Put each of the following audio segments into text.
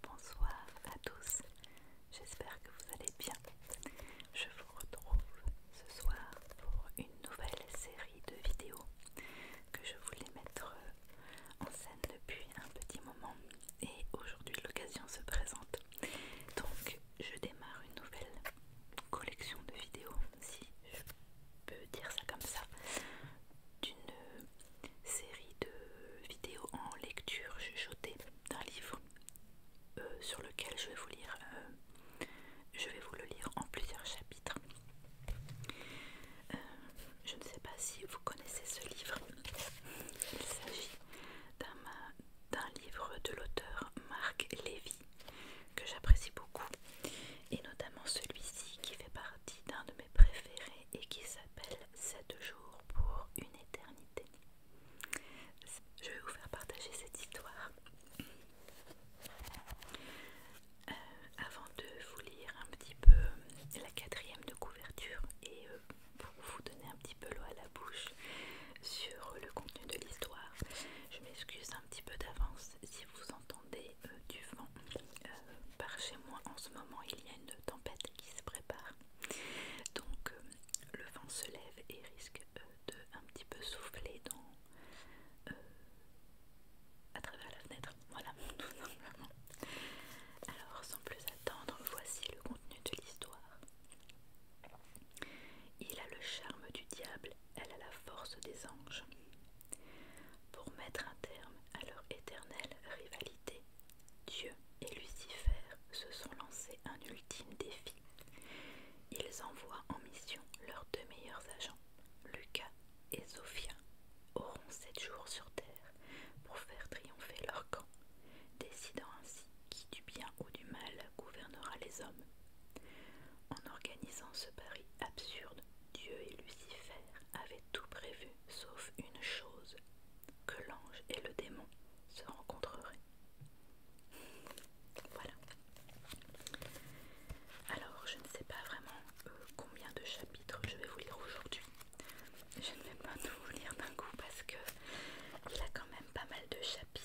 Bonsoir à tous, j'espère que vous allez bien. Je vous retrouve ce soir pour une nouvelle série de vidéos que je voulais mettre en scène depuis un petit moment et aujourd'hui l'occasion se présente. Donc je démarre une nouvelle collection de vidéos, si je peux dire ça comme ça, d'une série de vidéos en lecture chuchotée d'un livre euh, sur lequel je vais vous lire euh, je vais vous le lire en plusieurs chapitres euh, je ne sais pas si vous connaissez ce livre il s'agit d'un livre de l'auteur Marc Lévy que j'apprécie beaucoup et notamment celui-ci qui fait partie d'un de mes préférés et qui s'appelle 7 jours pour une éternité. Je vais vous faire partager cette histoire. Euh, avant de vous lire un petit peu la quatrième de couverture et euh, pour vous donner un petit peu l'eau à la bouche sur le contenu de l'histoire, je m'excuse un petit peu d'avance si vous entendez euh, du vent. Euh, par chez moi en ce moment il y a une tempête qui se prépare donc euh, le vent se lève et risque euh, de un petit peu souffler dans à travers la fenêtre voilà tout alors sans plus attendre voici le contenu de l'histoire il a le charme du diable elle a la force des anges pour mettre un terme à leur éternelle rivalité Dieu et Lucifer se sont lancés un ultime défi. Ils envoient en mission leurs deux meilleurs agents, Lucas et Zophia, auront sept jours sur Terre pour faire triompher leur camp, décidant ainsi qui du bien ou du mal gouvernera les hommes. En organisant ce pari absurde, Dieu et Lucifer avaient tout prévu sauf une chose, que l'ange et le démon se rencontreraient. Voilà. Alors, je ne sais pas vraiment euh, combien de chapitres je vais vous lire aujourd'hui. Je ne vais pas tout lire d'un coup parce que il a quand même pas mal de chapitres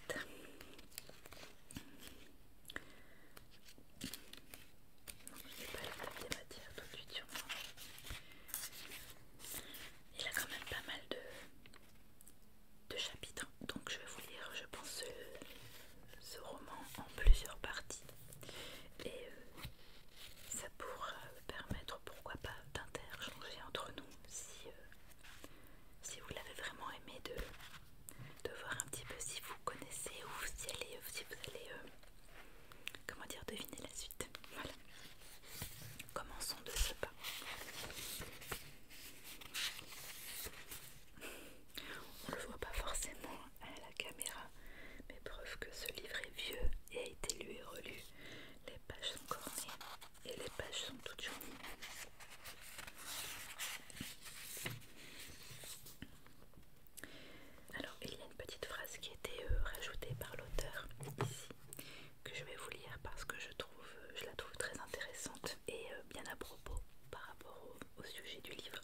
pas tout Il a quand même pas mal de, de chapitres, hein. donc je vais vous lire, je pense, ce, roman en plusieurs parties. Et euh, ça pourra permettre, pourquoi pas, d'interchanger entre nous si, euh, si vous l'avez vraiment aimé, de, de voir un petit peu si vous connaissez ou si, si vous allez euh, comment dire, deviner la suite. Voilà. Commençons de ce pas. On le voit pas forcément à la caméra, mais preuve que ce livre est vieux et a été lu et relu. Les pages sont cornées et les pages sont toutes jaunes. Alors, il y a une petite phrase qui a été euh, rajoutée par l'auteur ici, que je vais vous lire parce que je, euh, la trouve très intéressante et euh, bien à propos par rapport au sujet du livre.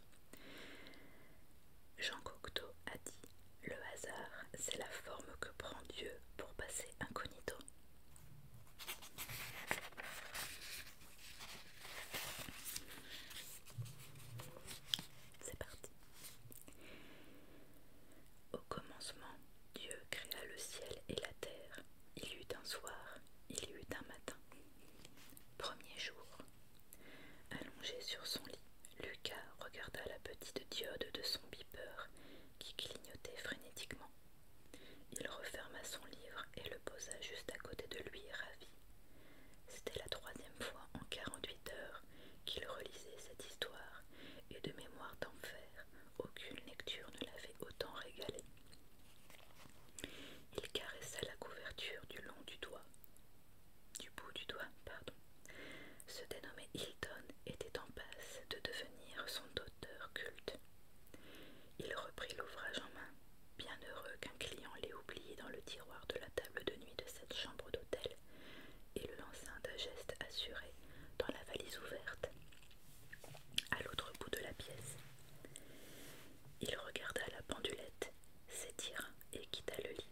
Jean Cocteau a dit Le hasard, c'est la forme que prend Dieu pour passer incognito. C'est parti. Au commencement, Dieu créa le ciel et la terre. Il y eut un soir, il y eut un matin. Premier jour. Allongé sur son lit, Lucas regarda la petite diode de son beeper qui clignotait frénétiquement. Il referma son livre et le posa juste à côté de lui, ravi. C'était la troisième fois en 48 heures qu'il relisait cette histoire, et de mémoire d'enfer, aucune lecture ne l'avait autant régalé. Il caressa la couverture du long du doigt, du bout du doigt, pardon. Ce dénommé Hilton était en passe de devenir son auteur culte. Il reprit l'ouvrage en main, bien heureux qu'un client l'ait oublié dans le tiroir de la table de nuit de cette chambre d'hôtel et le lança d'un geste assuré dans la valise ouverte, à l'autre bout de la pièce. Il regarda la pendulette s'étira et quitta le lit.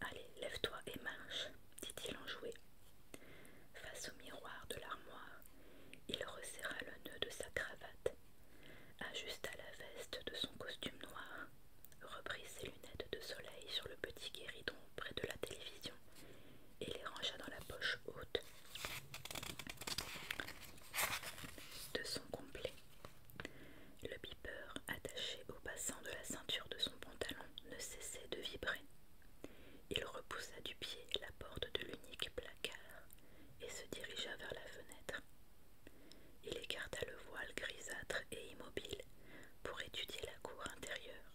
Allez, lève-toi et marche, dit-il en enjoué. Face au miroir de l'armoire, il resserra le nœud de sa cravate, ajusta la veste de son costume noir reprit ses lunettes de soleil sur le petit guéridon près de la télévision et les rangea dans la poche haute de son complet. Le beeper attaché au passant de la ceinture de son pantalon ne cessait de vibrer. Il repoussa du pied la porte de l'unique placard et se dirigea vers la fenêtre. Il écarta le voile grisâtre et immobile pour étudier la cour intérieure.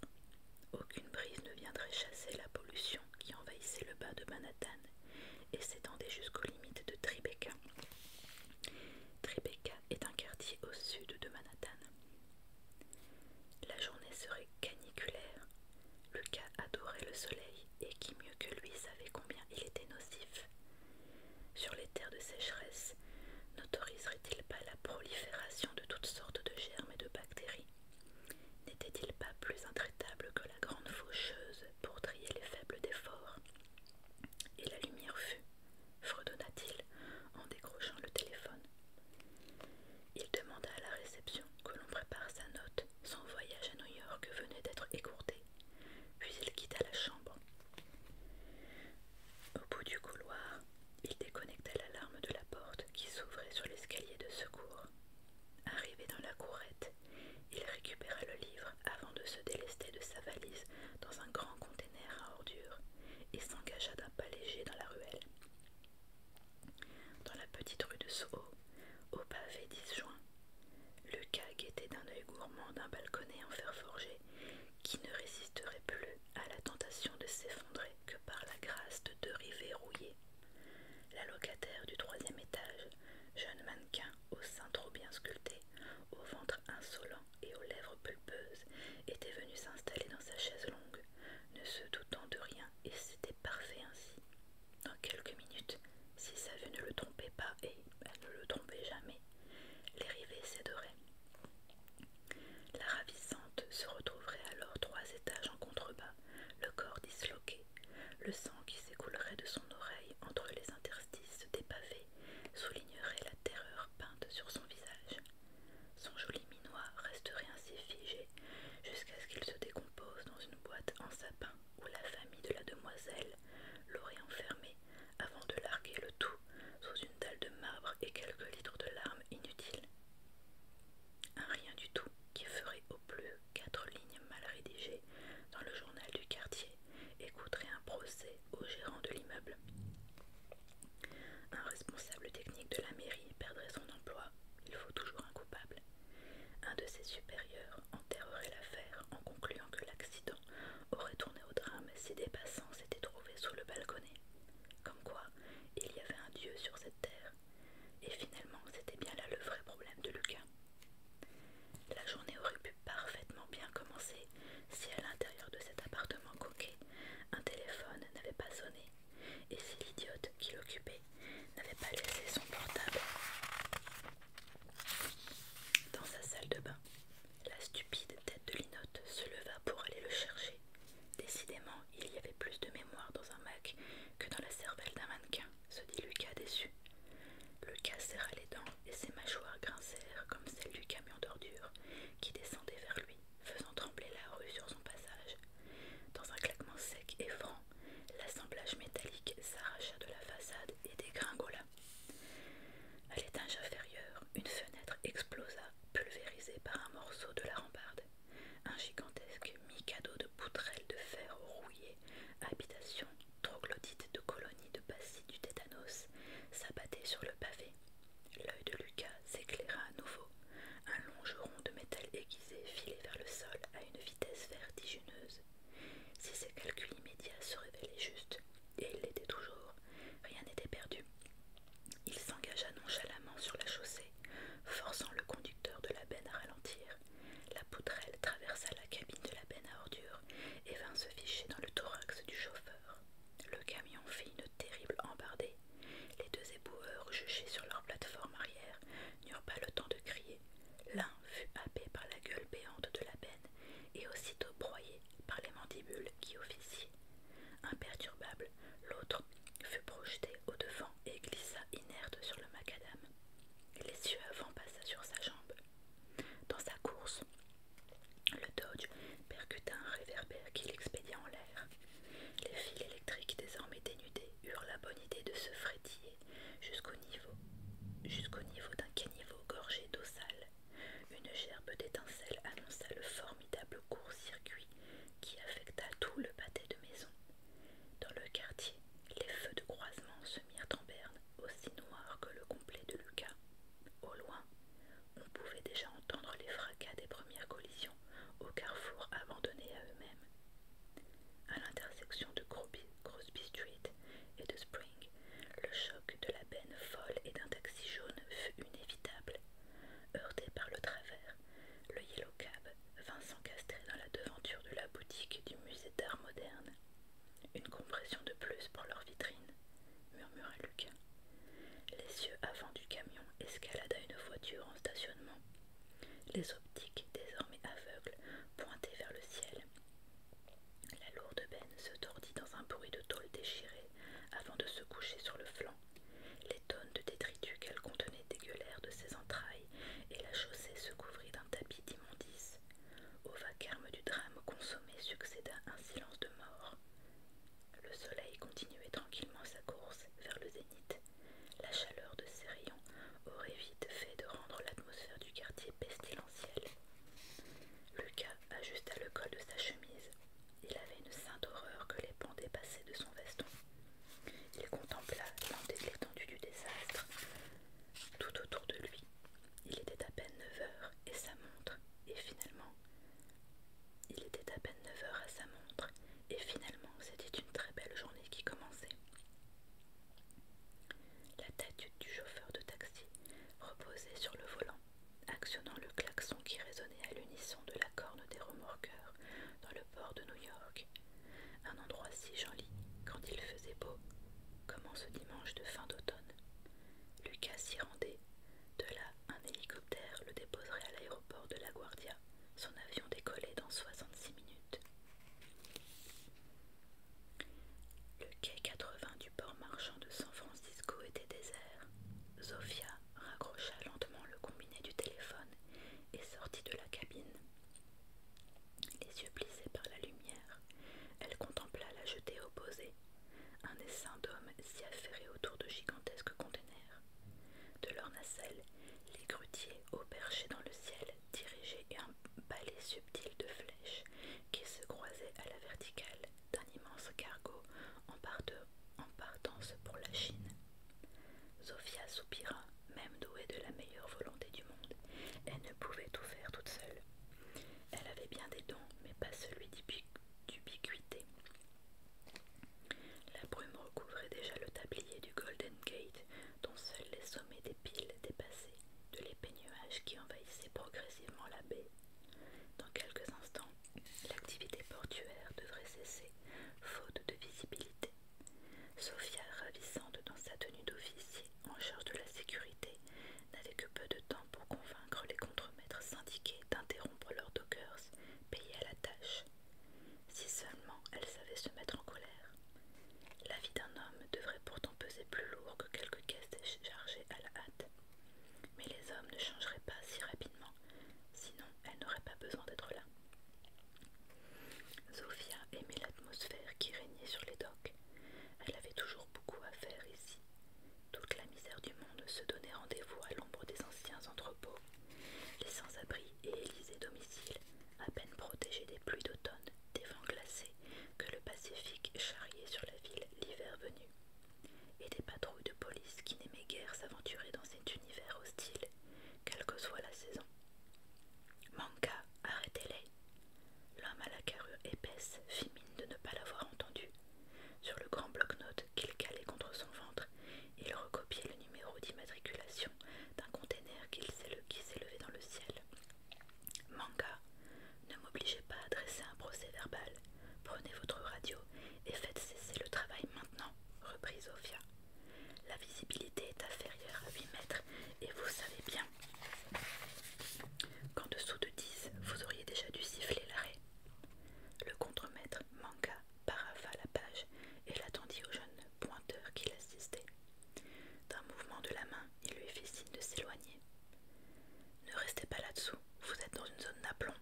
Aucune brise ne viendrait chasser la pollution qui envahissait le bas de Manhattan et s'étendait jusqu'aux limites de Tribeca. Tribeca est un quartier au sud de Manhattan. La journée serait caniculaire. Lucas adorait le soleil et qui mieux que lui savait combien il était nocif. Sur les terres de sécheresse, n'autoriserait-il pas la prolifération de toutes sortes de germes et de bactéries N'était-il pas plus intraitable que la grande faucheuse pour trier les faibles d'efforts Et la lumière fut, fredonna-t-il en décrochant le téléphone. Il demanda à la réception que l'on prépare sa note. Son voyage à New York venait d'être écourté, puis il quitta la chambre. Au bout du couloir, il déconnecta l'alarme de la porte qui s'ouvrait sur l'escalier de secours. Arrivé dans la courette, il récupéra le livre avant de se délester de sa valise dans un grand container à ordures et s'engagea d'un pas léger dans la ruelle. Dans la petite rue de Soho, au pavé disjoint, Lucas guettait d'un œil gourmand d'un balconnet en fer forgé qui ne résisterait plus à la tentation de s'effondrer que par la grâce de deux rivets rouillés. La locataire du troisième étage, jeune mannequin au sein trop bien sculpté, au ventre insolent et aux lèvres pulpeuses, était venue s'installer dans sa chaise longue, ne se doutant de rien, et c'était parfait ainsi. Dans quelques minutes, si sa vue ne le trompait pas, et elle ne le trompait jamais, les rivets céderaient. La ravissante se retrouverait alors trois étages en contrebas, le corps disloqué, le sang qui s'écoulerait de son oreille entre les interstices des pavés soulignerait la terreur peinte sur son visage. Son joli minois resterait ainsi figé jusqu'à ce qu'il se décompose dans une boîte en sapin où la famille de la demoiselle l'aurait enfermé avant de larguer le tout sous une dalle de marbre et quelques litres de larmes inutiles. Un rien du tout qui ferait au plus quatre lignes mal rédigées dans le journal du quartier Écouterait un procès au gérant de l'immeuble. Un responsable technique de la mairie perdrait son emploi, il faut toujours un coupable. Un de ses supérieurs enterrerait l'affaire en concluant que l'accident aurait tourné au drame si des passants s'étaient trouvés sous le balconnet. Comme quoi, il y avait un dieu sur cette terre. Et finalement, c'était bien là le vrai problème de Lucas. La journée aurait pu parfaitement bien commencer si à l'intérieur de cet appartement coquet, un téléphone n'avait pas sonné et si l'idiote qui l'occupait n'avait pas laissé son portable dans sa salle de bain. La stupide tête de Linotte se leva pour aller le chercher, Décidément, il y avait plus de mémoire dans un Mac que dans la cervelle d'un mannequin, se dit Lucas déçu. Lucas serra les dents et ses mâchoires grincèrent comme celles du camion d'ordures qui descendait vers lui, faisant trembler la rue sur son passage. Dans un claquement sec et franc, l'assemblage métallique s'arracha de la façade et dégringola. À l'étage inférieur, une fenêtre explosa, pulvérisée par un morceau de la rambarde. Un gigantesque mi-cadeau de poutrelles de fer rouillées, habitation troglodyte de colonies de bacilles du tétanos, s'abattait sur le pavé. L'œil de Lucas s'éclaira à nouveau. Un longeron de métal aiguisé filait vers le sol à une vitesse vertigineuse. Si ses calculs immédiats se révélaient justes, et ils l'étaient toujours, rien n'était perdu. Il s'engagea nonchalamment sur la chaussée, forçant le conducteur de la benne à ralentir. La poutrelle traversa la cabine de la benne à ordures et vint se ficher dans le thorax du chauffeur. Le camion fit une terrible embardée. Les deux éboueurs, juchés sur leur plateforme arrière, n'eurent pas le temps de crier. L'un fut happé par la gueule béante de la benne et aussitôt broyé par les mandibules qui officiaient Imperturbable, l'autre fut projeté au-devant et glissa inerte sur le macadam. L'essieu avant passa sur sa jambe. Dans sa course, le Dodge percuta un réverbère qui l'expédia en l'air. Les fils électriques, désormais dénudés, eurent la bonne idée de se frétiller jusqu'au niveau, jusqu'au niveau d'un caniveau gorgé d'eau sale. Une gerbe d'étincelles annonça le formidable court-circuit qui affecta tout le pâté de maison. Dans le quartier, les feux de croisement se mirent en berne, aussi noirs que le complet de Lucas. Au loin, on pouvait déjà entendre les fracas des premières collisions au carrefour abandonné à eux-mêmes. À l'intersection de Crosby, Street et de Spring, le choc de la benne folle et d'un taxi jaune fut inévitable. Heurté par le travers, le Yellow Cab vint s'encastrer dans la devanture de la boutique du musée d'art moderne. Une compression de plus pour leur vitrine, murmura Lucas. Les yeux avant du camion escalada une voiture en stationnement. Les optiques, désormais aveugles, pointaient vers le ciel. La lourde benne se tordit dans un bruit de tôle déchirée avant de se coucher sur le flanc les tonnes de détritus qu'elle contenait dégueulèrent de ses entrailles, et la chaussée se couvrit d'un tapis d'immondices. Au vacarme du drame consommé succéda un silence de mort. Le soleil continuait tranquillement sa course vers le zénith. La chaleur de ses rayons aurait vite fait de rendre l'atmosphère du quartier pestilentielle. Lucas ajusta le col de sa chemise, il avait une sainte horreur que les pans dépassaient de son veston. Il contempla l'étendue du désastre. Tout autour de lui, il était à peine 9 heures et sa montre, et finalement, il était à peine 9 heures à sa montre, et finalement, c'était une très belle journée qui commençait. La tête du chauffeur de taxi reposait sur le volant, actionnant le klaxon qui résonnait à l'unisson de la corne des remorqueurs dans le port de New York. Un endroit si joli quand il faisait beau, comme en ce dimanche de fin d'automne. Lucas s'y rendait. De là, un hélicoptère le déposerait à l'aéroport de La Guardia. Son avion décollait dans 66 minutes. Le quai 80 du port marchand de San Francisco était désert. Zofia raccrocha lentement le combiné du téléphone et sortit de la cabine. Les yeux plissés par la lumière, elle contempla la jetée opposée, un essaim d'hommes s'y affairés autour de gigantesques conteneurs. De leur nacelle, les grutiers, au dans le ciel, dirigeaient un balai subtil de flèches qui se croisaient à la verticale d'un immense cargo en part de en partance pour la Chine. Sofia soupira, même douée de la meilleure volonté du monde. Elle ne pouvait tout faire toute seule. Elle avait bien des dons, mais pas celui d'ubiquité. La brume recouvrait déjà le tablier du Golden Gate, dont seuls les sommets des piles dépassaient de l'épais nuage qui envahissait progressivement la baie. Dans quelques instants, l'activité portuaire devrait cesser faute de visibilité. Sophia, ravissante dans sa tenue d'officier en charge de la sécurité, n'avait que peu de temps pour convaincre les contremaîtres syndiqués d'interrompre leurs dockers payés à la tâche. Si seulement elle savait se mettre en colère. La vie d'un homme devrait pourtant peser plus lourd que quelques caisses Chargées à la hâte. Mais les hommes ne changeraient pas si rapidement, sinon elle n'aurait pas besoin d'être là. Zofia aimait l'atmosphère qui régnait sur les docks. Elle avait toujours beaucoup à faire ici. Toute la misère du monde se donnait rendez-vous à l'ombre des anciens entrepôts. Les sans-abri et Élysées domicile, à peine protégés des pluies d'automne, des vents glacés que le Pacifique charriait sur la ville l'hiver venu, et des patrouilles de police qui n'aimaient guère s'aventurer dans cet univers hostile, quelle que soit la saison. Manka, arrêtez-les. L'homme à la carrure épaisse fit mine de ne pas l'avoir entendu. Sur le grand bloc note qu'il calait contre son ventre, il recopiait le numéro d'immatriculation d'un container qui s'élevait dans le ciel. Manga, ne m'obligez pas à dresser un procès verbal. Prenez votre radio et faites cesser le travail maintenant, reprit Sofia. La visibilité est inférieure à 8 mètres et vous savez bien qu'en dessous de 10, vous auriez déjà dû siffler l'arrêt. Le contremaître manqua, paraffa la page et l'attendit au jeune pointeur qui l'assistait. D'un mouvement de la main, il lui fit signe de s'éloigner. Ne restez pas là-dessous, vous êtes dans une zone d'aplomb.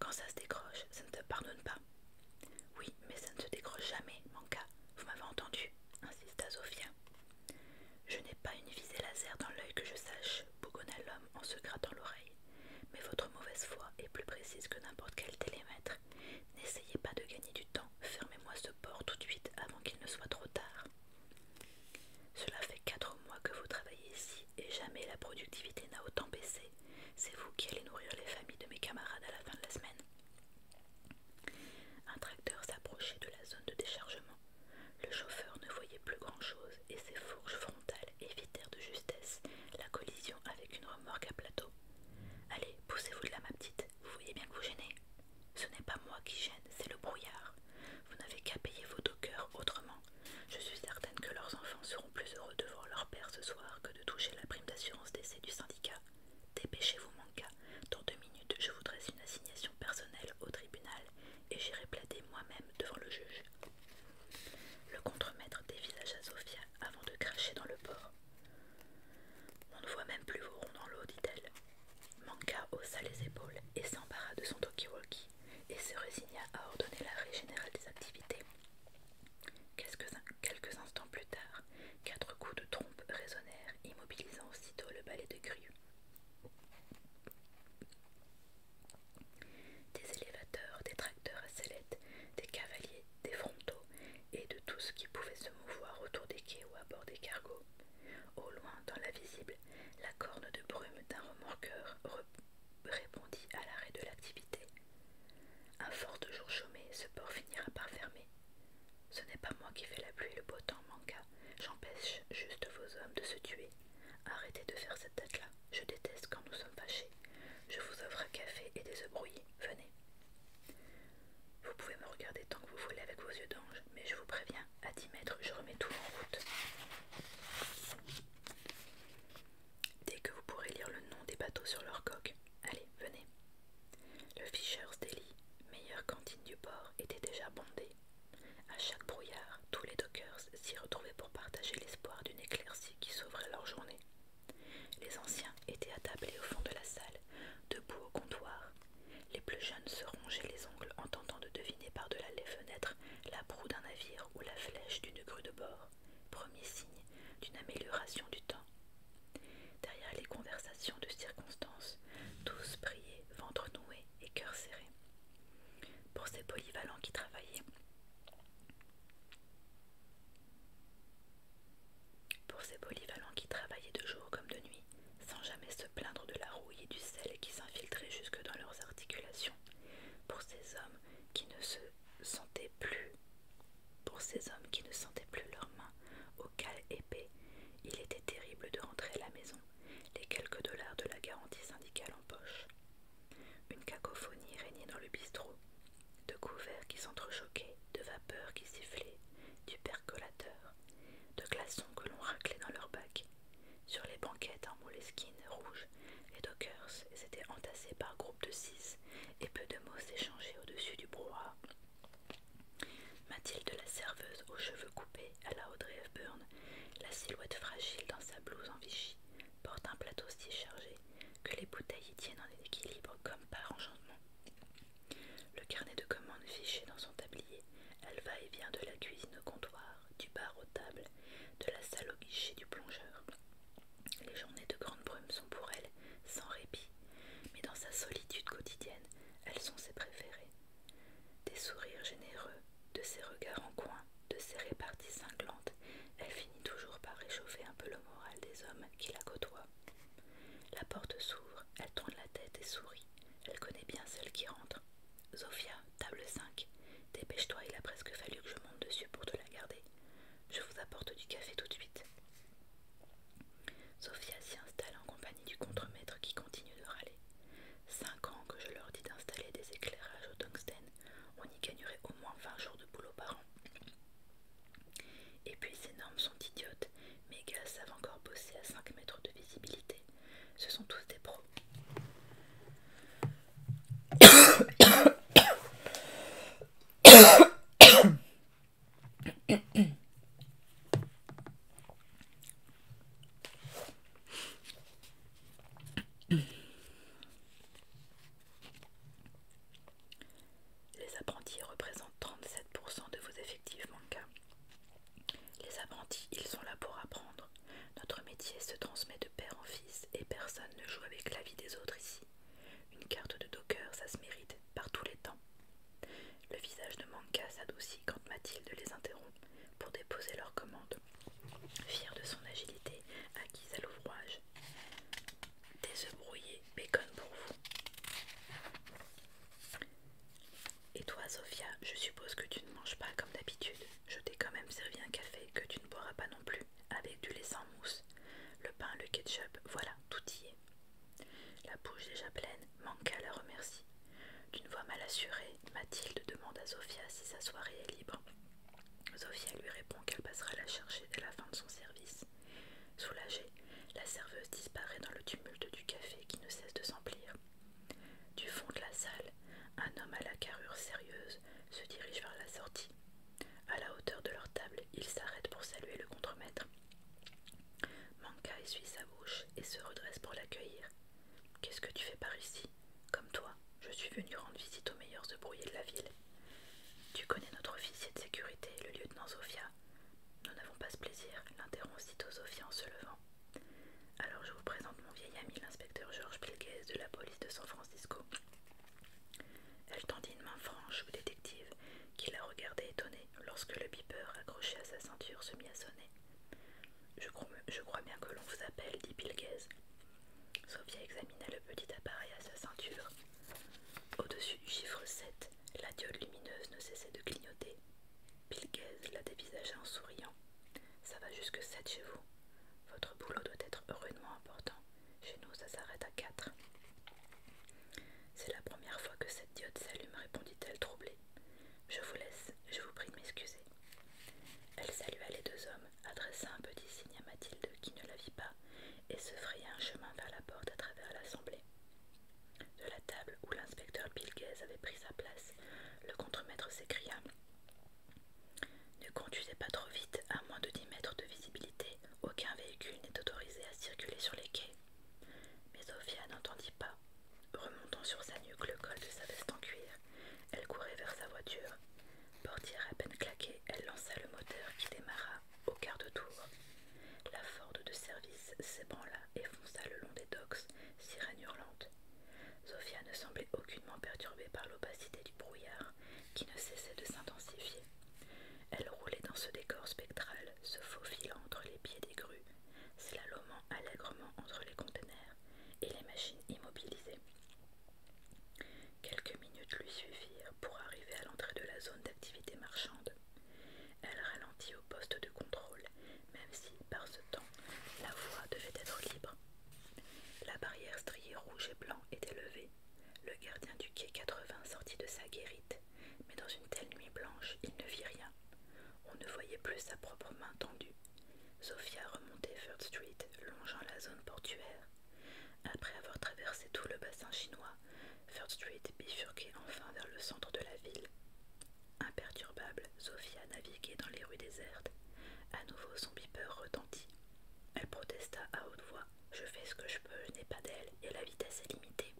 Quand ça se décroche, ça ne te pardonne pas. Oui, mais ça ne se décroche jamais, Manka. Vous m'avez entendu insista Zofia. Je n'ai pas une visée laser dans l'œil que je sache, bougonna l'homme en se grattant l'oreille. Mais votre mauvaise foi est plus précise que n'importe quel télémètre. N'essayez pas de gagner du temps. Fermez-moi ce port tout de suite avant qu'il ne soit trop tard. Cela fait quatre mois que vous travaillez ici et jamais la productivité n'a autant baissé. C'est vous qui allez nourrir les familles de mes camarades à la fin de la semaine. Un tracteur s'approchait de la zone de déchargement. Le chauffeur ne voyait plus grand-chose et ses fourches frontales évitèrent de justesse la collision avec une remorque à plateau. Allez, poussez-vous de là, ma petite, vous voyez bien que vous gênez. Ce n'est pas moi qui gêne, c'est le brouillard. Vous n'avez qu'à payer vos dockers autrement. Je suis certaine que leurs enfants seront plus heureux de voir leur père ce soir que de toucher la prime d'assurance d'essai du syndicat Dépêchez-vous, Manka, Dans deux minutes, je voudrais une assignation personnelle au tribunal et j'irai plaider moi-même devant le juge. Le contremaître à Sofia avant de cracher dans le port. On ne voit même plus vos ronds dans l'eau, dit-elle. Manka haussa les épaules et s'empara de son talkie-walkie et se résigna à ordonner l'arrêt général des activités Quelques instants plus tard, quatre coups de trompe résonnèrent, immobilisant aussitôt le balai de grue. Des élévateurs, des tracteurs à sellettes, des cavaliers, des frontaux et de tout ce qui pouvait se mouvoir autour des quais ou à bord des cargos. Au loin, dans la visible, la corne de brume d'un remorqueur répondit à l'arrêt de l'activité. Un fort jour chômé, ce port finira par fermer. Ce n'est pas moi qui fais la pluie, le beau temps manqua. J'empêche juste vos hommes de se tuer. Arrêtez de faire cette tête-là. Je déteste quand nous sommes fâchés. Je vous offre un café et des œufs brouillés. Venez. Vous pouvez me regarder tant que vous voulez avec vos yeux d'ange, mais je vous préviens, à 10 mètres, je remets tout en route. Dès que vous pourrez lire le nom des bateaux sur leur coque, Allez, venez. Le Fisher's Daily, meilleure cantine du port, était déjà bondé. À chaque brouillard, tous les dockers s'y retrouvaient pour partager l'espoir d'une éclaircie qui sauverait leur journée. Les anciens étaient attablés au fond de la salle, debout au comptoir. Les plus jeunes se rongeaient les ongles en tentant de deviner par-delà les fenêtres la proue d'un navire ou la flèche d'une grue de bord, premier signe d'une amélioration du temps Derrière les conversations de circonstances, tous priaient, ventre noué et cœur serré. Pour ces polyvalents qui travaillaient, pour ces polyvalents qui travaillaient de jour comme de nuit, sans jamais se plaindre de la rouille et du sel qui s'infiltrait jusque dans leurs articulations, pour ces hommes qui ne se sentaient plus pour ces hommes qui ne sentaient plus leurs mains aux cales épais, il était terrible de rentrer à la maison, les quelques dollars de la garantie syndicale en poche. Une cacophonie régnait dans le bistrot, de couverts qui s'entrechoquaient, de vapeurs qui sifflaient, du percolateur, de glaçons que l'on raclait dans leurs bacs. Sur les banquettes en moleskine rouges, les dockers s'étaient entassés par groupes de six, et peu de mots s'échangeaient au-dessus du brouhaha Mathilde, la serveuse aux cheveux coupés à la Audrey Hepburn, la silhouette fragile dans sa blouse en Vichy, porte un plateau si chargé que les bouteilles y tiennent en équilibre comme par enchantement. Le carnet de commandes fiché dans son tablier, elle va et vient de la cuisine au comptoir, du bar aux tables, de la salle au guichet du plongeur. Les journées de grande brume sont pour elle sans répit mais dans sa solitude quotidienne, elles sont ses préférées. Des sourires généreux, de ses regards en coin, de ses réparties cinglantes, elle finit toujours par réchauffer un peu le moral des hommes qui la côtoient. La porte s'ouvre, elle tourne la tête et sourit. Elle connaît bien celle qui rentre. Zofia, table 5. Dépêche-toi, il a presque fallu que je monte dessus pour te la garder. Je vous apporte du café tout de suite. Sophia s'y installe en compagnie du contremaître qui continue de râler. Cinq ans que je leur dis d'installer des éclairages au tungstène, on y gagnerait au moins 20 jours de boulot par an. Et puis ces normes sont idiotes, mes gars savent encore bosser à 5 mètres de visibilité. Ce sont tous des pros. Les apprentis représentent 37% de vos effectifs manquants. Les apprentis, ils sont là pour apprendre. Notre métier se transmet de père en fils et personne ne joue avec la vie des autres ici. Une carte de docker, ça se mérite par tous les temps. Le visage de Manka s'adoucit quand Mathilde les interrompt pour déposer leurs commandes. Fière de son agilité acquise à l'ouvrage. Des œufs brouillés, bacon pour vous. Et toi, Sofia, je suppose que tu ne manges pas comme d'habitude. Je t'ai quand même servi un café que tu ne boiras pas non plus, avec du lait sans mousse. Le pain, le ketchup, voilà, tout y est. La bouche déjà pleine, à la remercie. D'une voix mal assurée, Mathilde demande à Sofia si sa soirée est libre. Sofia lui répond qu'elle passera la chercher dès la fin de son service. Soulagée, la serveuse disparaît dans le tumulte du café qui ne cesse de s'emplir. Du fond de la salle, un homme à la carrure sérieuse se dirige vers la sortie. À la hauteur de leur table, il s'arrête pour saluer le contremaître. Manka essuie sa bouche et se redresse pour l'accueillir. Qu'est-ce que tu fais par ici Comme toi, je suis venu rendre visite aux meilleurs brouiller de la ville. Tu connais notre officier de sécurité, le lieutenant Sofia. Nous n'avons pas ce plaisir, l'interrompt Sito Sofia en se levant. Alors je vous présente mon vieil ami, l'inspecteur Georges Pilguès de la police de San Francisco. Elle tendit une main franche au détective, qui la regardait étonnée lorsque le beeper accroché à sa ceinture se mit à sonner. Je crois, bien que l'on vous appelle, dit pilghez Sophia examina le petit appareil à sa ceinture. Au-dessus du chiffre 7, la diode lumineuse ne cessait de clignoter. Pilguez la dévisagea en souriant. Ça va jusque 7 chez vous. Votre boulot doit être heureusement important. Chez nous, ça s'arrête à 4. C'est la première fois que cette diode s'allume, répondit-elle troublée. Je vous laisse, je vous prie de m'excuser. Elle salua les deux hommes, adressa un petit signe à Mathilde qui ne la vit pas, et se fraya un chemin vers la porte à travers l'assemblée. De la table où l'inspecteur Pilguez avait pris sa place, le contremaître s'écria. Ne conduisez pas trop vite, à moins de dix mètres de visibilité, aucun véhicule n'est autorisé à circuler sur les quais. Mais Sophia n'entendit pas. Remontant sur sa nuque le col de sa veste en cuir, elle courait vers sa voiture. Portière à peine claquée, elle lança le moteur qui démarra au quart de tour. La Ford de service s'ébranla et fonça le long des docks, sirène hurlante. Sophia ne semblait aucunement perturbée par l'opacité du brouillard qui ne cessait de s'intensifier. Elle roulait dans ce décor spectral, se faufilant entre les pieds des grues, slalomant allègrement entre les conteneurs et les machines immobilisées. Quelques minutes lui suffirent pour arriver à l'entrée de la zone d'activité marchande. Elle ralentit au poste de contrôle, même si, par ce temps, la voie devait être libre. La barrière striée rouge et blanc était levée. Le gardien du quai 80 sortit de sa guérite mais dans une telle nuit blanche, il ne vit rien. On ne voyait plus sa propre main tendue. Sophia remontait Third Street, longeant la zone portuaire. Après avoir traversé tout le bassin chinois, Third Street bifurquait enfin vers le centre de la ville. Imperturbable, Sophia naviguait dans les rues désertes. À nouveau, son beeper retentit. Elle protesta à haute voix. Je fais ce que je peux, je n'ai pas d'elle, et la vitesse est limitée.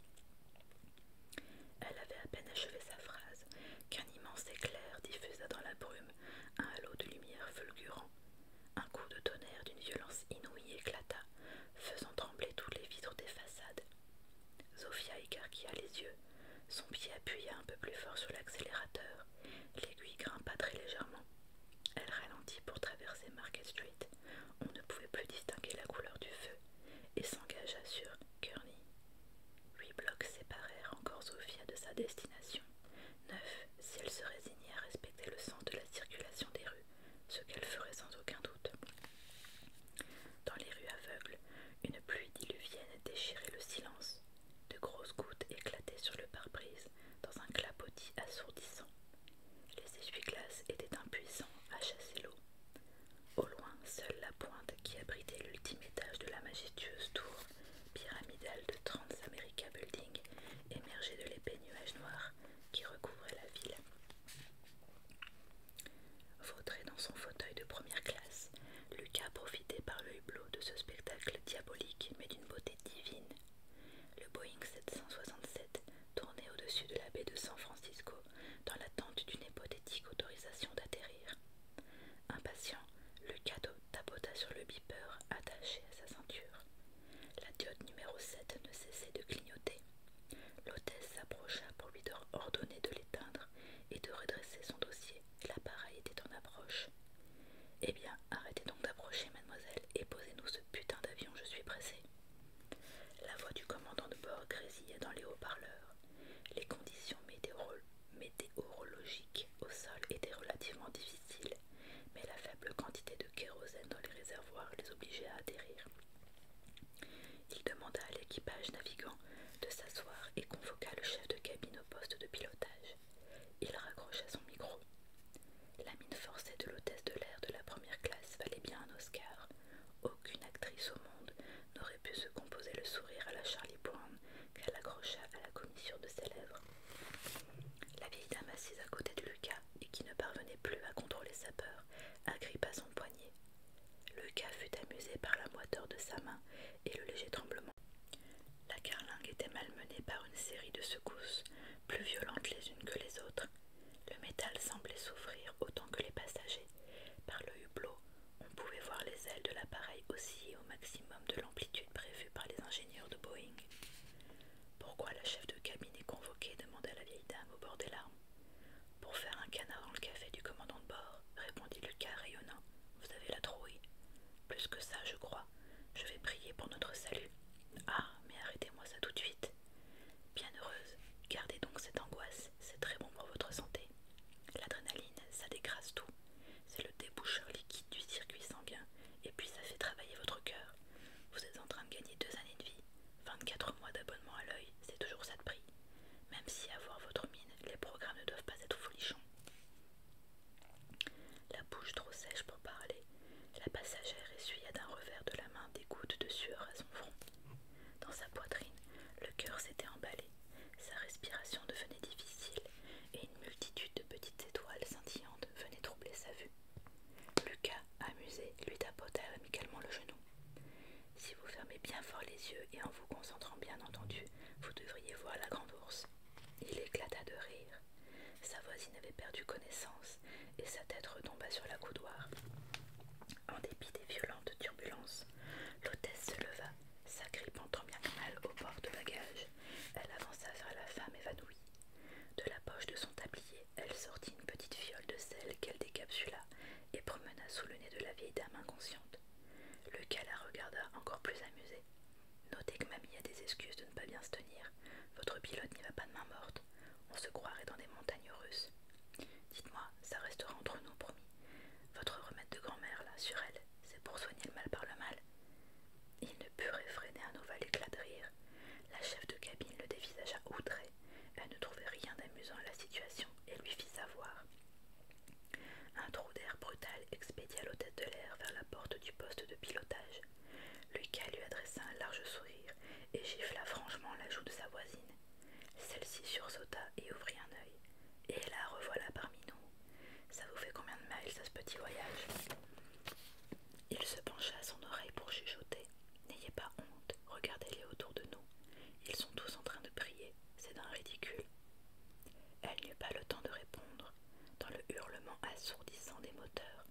Elle avait à peine achevé sa phrase qu'un immense éclair diffusa dans la brume un halo de lumière fulgurant. Un coup de tonnerre d'une violence inouïe éclata, faisant trembler toutes les vitres des façades. Zofia écarquilla les yeux, son pied appuya un peu plus fort sur l'accélérateur, l'aiguille grimpa très légèrement. Elle ralentit pour traverser Market Street, on ne pouvait plus distinguer la couleur du feu et s'engagea sur Kearney. Huit blocs séparèrent encore Sophia de sa destination. Neuf, si elle se résignait à respecter le sens de la circulation des rues, ce qu'elle ferait sans aucun doute. Dans les rues aveugles, une pluie diluvienne déchirait le silence. De grosses gouttes éclataient sur le pare-brise dans un clapotis assourdissant. Les essuie-glaces étaient impuissants à chasser l'eau. Au loin, seule la pointe qui abritait l'ultime étage de la majestueuse tour pyramidale de Transamerica America Building émergeait de l'épais nuage noir qui recouvrait la ville. Vautré dans son fauteuil de première classe, Lucas profitait par le hublot de ce spectacle diabolique mais d'une beauté divine. Le Boeing 767 tourné au-dessus de la baie de San Francisco dans l'attente d'une hypothétique autorisation d'atterrir. Impatient, le cadeau tapota sur le beeper attaché à sa ceinture. La diode numéro 7 ne cessait de clignoter. L'hôtesse s'approcha pour lui ordonner de l'éteindre et de redresser son dossier. L'appareil était en approche. Eh bien, arrêtez donc d'approcher, mademoiselle, et posez-nous ce putain d'avion, je suis pressé. La voix du commandant de bord grésillait dans les haut-parleurs. Les conditions météorologiques au sol étaient relativement difficiles, mais la faible quantité de kérosène dans les réservoirs les obligeait à atterrir. Il demanda à l'équipage navigant de s'asseoir et convoqua le chef de cabine au poste de pilotage. Il raccrocha son micro. La mine forcée de l'hôtesse de l'air de la première classe valait bien un Oscar. Aucune actrice au monde n'aurait pu se composer le sourire à la Charlie Brown qu'elle accrocha à la commissure de ses lèvres. La vieille dame assise à côté de Lucas et qui ne parvenait plus à contrôler sa peur agrippa son poignet. Lucas fut amusé par la moiteur de sa main et le léger tremblement. La carlingue était malmenée par une série de secousses, plus violentes les unes que les autres, le métal semblait souffrir autant que les passagers. Par le hublot, on pouvait voir les ailes de l'appareil osciller au maximum de l'amplitude prévue par les ingénieurs de Boeing. Pourquoi la chef de cabine est convoquée demanda la vieille dame au bord des larmes. Pour faire un canard dans le café du commandant de bord, répondit Lucas rayonnant. Vous avez la trouille. Plus que ça, je crois. Je vais prier pour notre salut. Ah, mais arrêtez-moi ça tout de suite. Bienheureuse, gardez donc cette angoisse, c'est très bon pour votre santé. L'adrénaline, ça décrase tout. C'est le déboucheur liquide du circuit sanguin, et puis ça fait travailler votre cœur. Vous êtes en train de gagner deux années de vie. 24 mois d'abonnement à l'œil, c'est toujours ça de prix. Même si avoir votre mine, les programmes ne doivent pas être folichons. La bouche trop sèche pour parler, la passagère essuya d'un revers de la main des gouttes de sueur à son front. Dans sa poitrine, le cœur s'était emballé, sa respiration devenait difficile, et une multitude de petites étoiles scintillantes venaient troubler sa vue. Lucas, amusé, lui tapota amicalement le genou. Si vous fermez bien fort les yeux et en vous concentrant bien entendu, vous devriez voir la grande ours. Il éclata de rire. Sa voisine avait perdu connaissance et sa tête retomba sur la coudoir. En dépit des violentes turbulences, L'hôtesse se leva, s'agrippant trop bien mal au bord de bagages. Elle avança vers la femme évanouie. De la poche de son tablier, elle sortit une petite fiole de sel qu'elle décapsula et promena sous le nez de la vieille dame inconsciente. Lequel la regarda encore plus amusée. Notez que mamie a des excuses de ne pas bien se tenir. Votre pilote n'y va pas de main morte. On se croirait dans des montagnes russes. Dites-moi, ça restera entre nous, promis. Votre remède de grand-mère, là, sur elle, c'est pour soigner le mal par le mal. Il ne put réfréner un ovale éclat de rire. La chef de cabine le dévisagea outré. Elle ne trouvait rien d'amusant à la situation et lui fit savoir. Un trou d'air brutal expédia l'hôte de l'air vers la porte du poste de pilotage. Lucas lui adressa un large sourire et gifla franchement la joue de sa voisine. Celle-ci sursauta et ouvrit un œil. Et la revoilà parmi nous. Ça vous fait combien de miles à ce petit voyage Il se pencha à son oreille pour chuchoter. N'ayez pas honte, regardez-les autour de nous. Ils sont tous en train de prier, c'est d'un ridicule. Elle n'eut pas le temps de répondre. Dans le hurlement assourdissant des moteurs,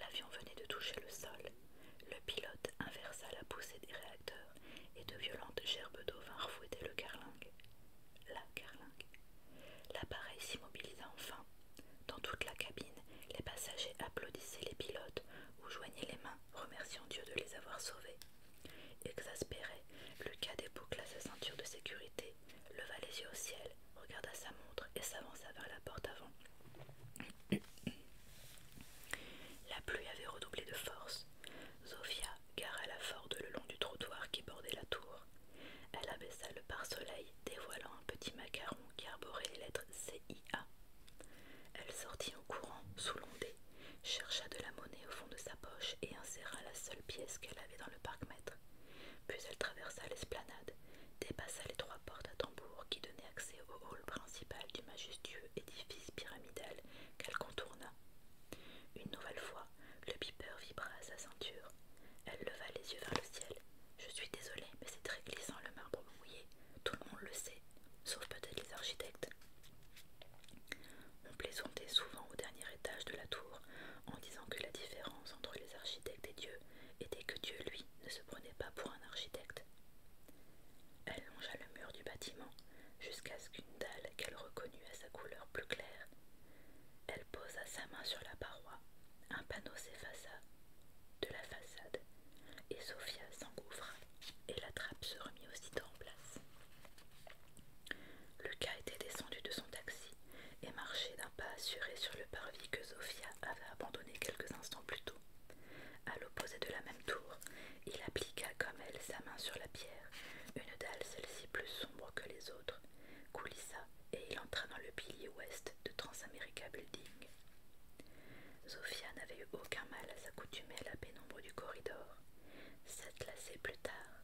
l'avion venait de toucher le sol. Le pilote inversa la poussée des réacteurs et de violentes gerbes d'eau vinrent fouetter le carlingue. La carlingue. L'appareil s'immobilisa enfin. Dans toute la cabine, les passagers applaudissaient les pilotes ou joignaient les mains, remerciant Dieu de les avoir sauvés. Exaspéré, Lucas déboucla sa ceinture de sécurité, leva les yeux au ciel, regarda sa montre et s'avança vers la porte avant. La pluie avait redoublé de force. Zofia gara la Ford le long du trottoir qui bordait la tour. Elle abaissa le pare-soleil, dévoilant un petit macaron qui arborait les lettres CIA. Elle sortit en courant, sous l'ondée, chercha de la monnaie au fond de sa poche et inséra la seule pièce qu'elle avait dans le parc Puis elle traversa l'esplanade, dépassa les trois portes à tambour qui donnaient accès au hall principal du majestueux édifice pyramidal qu'elle contourna. Une nouvelle fois, le pipeur vibra à sa ceinture. Elle leva les yeux vers le ciel. Je suis désolée, mais c'est très glissant le marbre mouillé. Tout le monde le sait, sauf peut-être les architectes. On plaisantait souvent au dernier étage de la tour en disant que la différence entre les architectes et Dieu était que Dieu, lui, ne se prenait pas pour un architecte. Elle longea le mur du bâtiment jusqu'à ce qu'une dalle qu'elle reconnut à sa couleur plus claire. Elle posa sa main sur la paroi, un panneau s'effaça de la façade, et Sophia s'engouffra, et la trappe se remit aussitôt en place. Lucas était descendu de son taxi et marchait d'un pas assuré sur le parvis que Sophia avait abandonné quelques instants plus tôt. À l'opposé de la même tour, il appliqua comme elle sa main sur la pierre, une dalle celle-ci plus sombre que les autres, coulissa et il entra dans le pilier ouest de Transamerica Building. Sofia n'avait eu aucun mal à s'accoutumer à la pénombre du corridor. Sept lacets plus tard,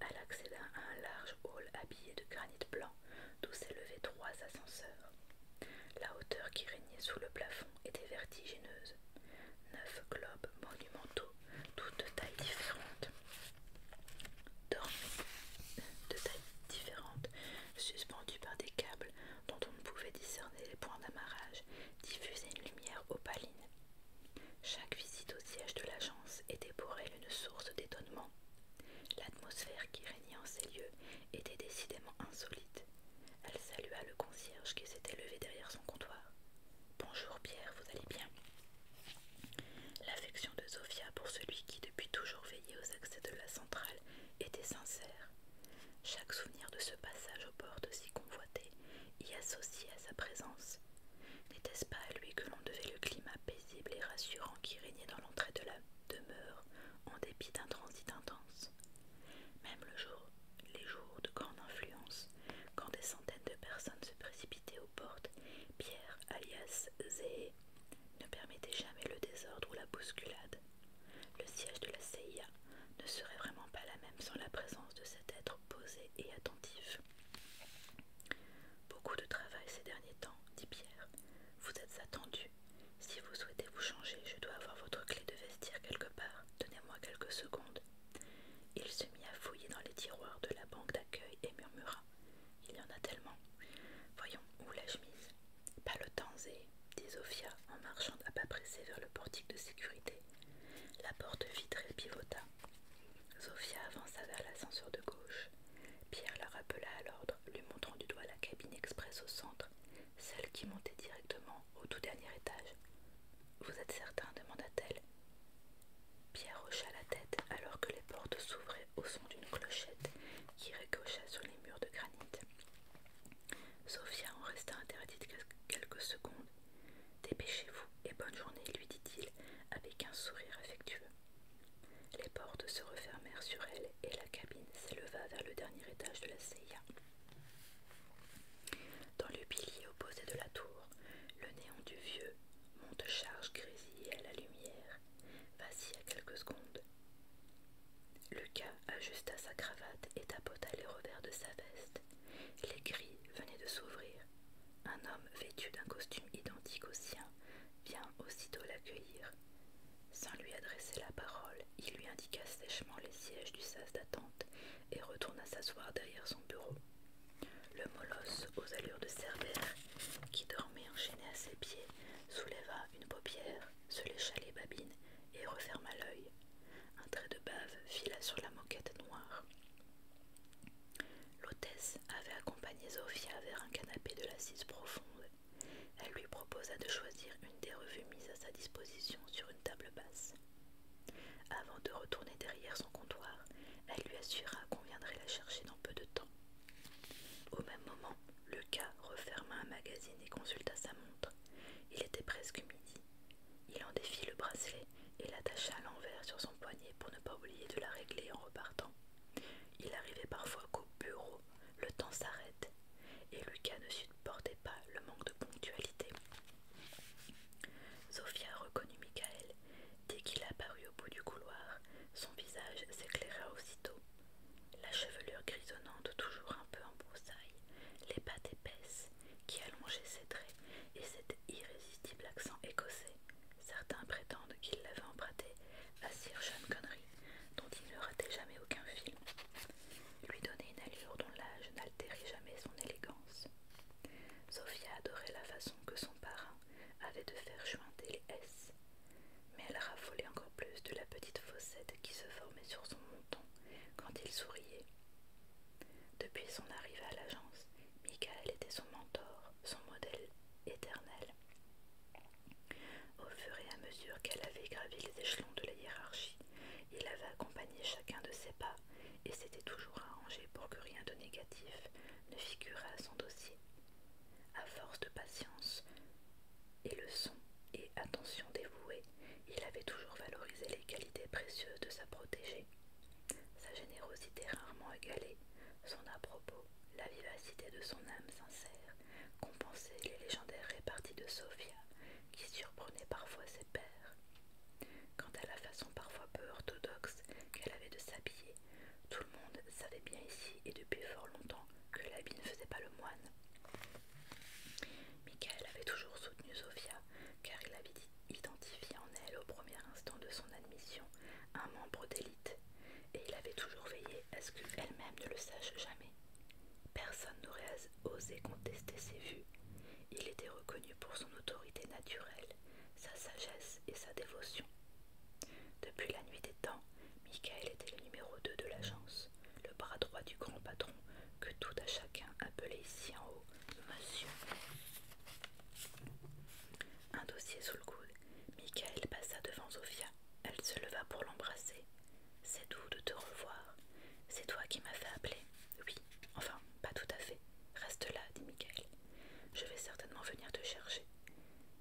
elle accéda à un large hall habillé de granit blanc d'où s'élevaient trois ascenseurs. La hauteur qui régnait sous le plafond étaient vertigineuses. Neuf globes monumentaux, tous de tailles différentes, de tailles différentes, suspendus par des câbles dont on ne pouvait discerner les points d'amarrage, diffusaient une lumière opaline. Chaque visite au siège de l'agence était pour elle une source d'étonnement. L'atmosphère qui régnait en ces lieux était décidément insolite. Elle salua le concierge qui s'était levé derrière son comptoir. Bonjour Pierre, vous allez bien L'affection de Sofia pour celui qui, depuis toujours veillait aux accès de la centrale, était sincère. Chaque souvenir de ce passage aux portes si convoité y associait à sa présence. N'était-ce pas à lui que l'on devait le climat paisible et rassurant qui régnait dans l'entrée de la demeure, en dépit d'un transit intense Même le jour les jours de grande influence, quand des centaines de personnes se précipitaient aux portes, Pierre, alias Zé, ne permettait jamais le désordre ou la bousculade. Le siège de la CIA ne serait vraiment pas la même sans la présence de cet être posé et attentif. Beaucoup de travail ces derniers temps, dit Pierre. Vous êtes attendu. Si vous souhaitez vous changer, je dois avoir votre clé de vestiaire quelque part. Donnez-moi quelques secondes. Il se mit à fouiller dans les tiroirs de la banque d'accueil et murmura Il y en a tellement. Voyons, où la chemise Pas le temps, Zé, dit Zofia en marchant à pas pressés vers le portique de sécurité. La porte vitrée pivota. Zofia avança vers l'ascenseur de gauche. Pierre la rappela à l'ordre, lui montrant du doigt la cabine express au centre, celle qui montait directement au tout dernier étage. Vous êtes certain demanda-t-elle. Pierre hocha la tête alors que les portes s'ouvraient au son d'une clochette qui ricocha sur les murs de granit. Sophia en resta interdite quelques secondes. Dépêchez-vous et bonne journée, lui dit-il avec un sourire affectueux. Les portes se refermèrent sur elle et la cabine s'éleva vers le dernier étage de la CIA. Dans le pilier opposé de la tour, le néant du vieux monte-charge grésillé à la lumière, à quelques secondes. Lucas ajusta sa cravate et tapota les revers de sa veste. Les grilles venaient de s'ouvrir. Un homme vêtu d'un costume identique au sien vient aussitôt l'accueillir. Sans lui adresser la parole, il lui indiqua sèchement les sièges du sas d'attente et retourna s'asseoir derrière son bureau. Le molosse, aux allures de Cerbère, qui dormait enchaîné à ses pieds, souleva une paupière, se lécha les babines et referma l'œil. Un trait de bave fila sur la moquette noire. L'hôtesse avait accompagné Zofia vers un canapé de l'assise profonde. Elle lui proposa de choisir une des revues mises à sa disposition sur une table basse. Avant de retourner derrière son comptoir, elle lui assura qu'on viendrait la chercher dans peu de temps. Au même moment, Lucas referma un magazine et consulta sa montre. Il était presque midi. Il en défit le bracelet et l'attacha à l'envers sur son poignet pour ne pas oublier de la régler en repartant. Il arrivait parfois qu'au bureau, le temps s'arrête et Lucas ne supportait pas le manque de ponctualité. Sofia reconnut Michael Dès qu'il apparut au bout du couloir, son visage s'éclaira aussitôt. La chevelure grisonnante, toujours un peu en broussaille, les pattes épaisses qui allongeaient ses traits et cet irrésistible accent écossais. Certains prétendent qu'il l'avait emprunté à Sir John Connery, dont il ne ratait jamais aucun film. Lui donnait une allure dont l'âge n'altérait jamais son élégance. Sophia adorait la façon que son parrain avait de faire jointer les S, mais elle raffolait encore plus de la petite fossette qui se formait sur son menton quand il souriait. Depuis son arrivée à l'agence, Michael était son mentor, son modèle éternel. Au fur et à mesure qu'elle avait gravi les échelons de la hiérarchie, il avait accompagné chacun de ses pas et s'était toujours arrangé pour que rien de négatif ne figurât à son dossier. À force de patience et leçons et attention dévouée, il avait toujours valorisé les qualités précieuses de sa protégée. Sa générosité rarement égalée, son à-propos, la vivacité de son âme sincère, compensaient les légendaires réparties de Sophia qui surprenaient parfois ses pères. Quant à la façon parfois peu orthodoxe qu'elle avait de s'habiller, tout le monde savait bien ici et depuis fort longtemps que l'habit ne faisait pas le moine. Michael avait toujours soutenu Sophia car il avait identifié en elle au premier instant de son admission un membre d'élite, et il avait toujours veillé à ce qu'elle-même ne le sache jamais. Personne n'aurait osé contester ses vues. Il était reconnu pour son autorité naturelle sa sagesse et sa dévotion. Depuis la nuit des temps, Michael était le numéro 2 de l'agence, le bras droit du grand patron que tout à chacun appelait ici en haut Monsieur. Un dossier sous le coude, Michael passa devant Zofia. Elle se leva pour l'embrasser. C'est doux de te revoir. C'est toi qui m'as fait appeler. Oui, enfin, pas tout à fait. Reste là, dit Michael. Je vais certainement venir te chercher.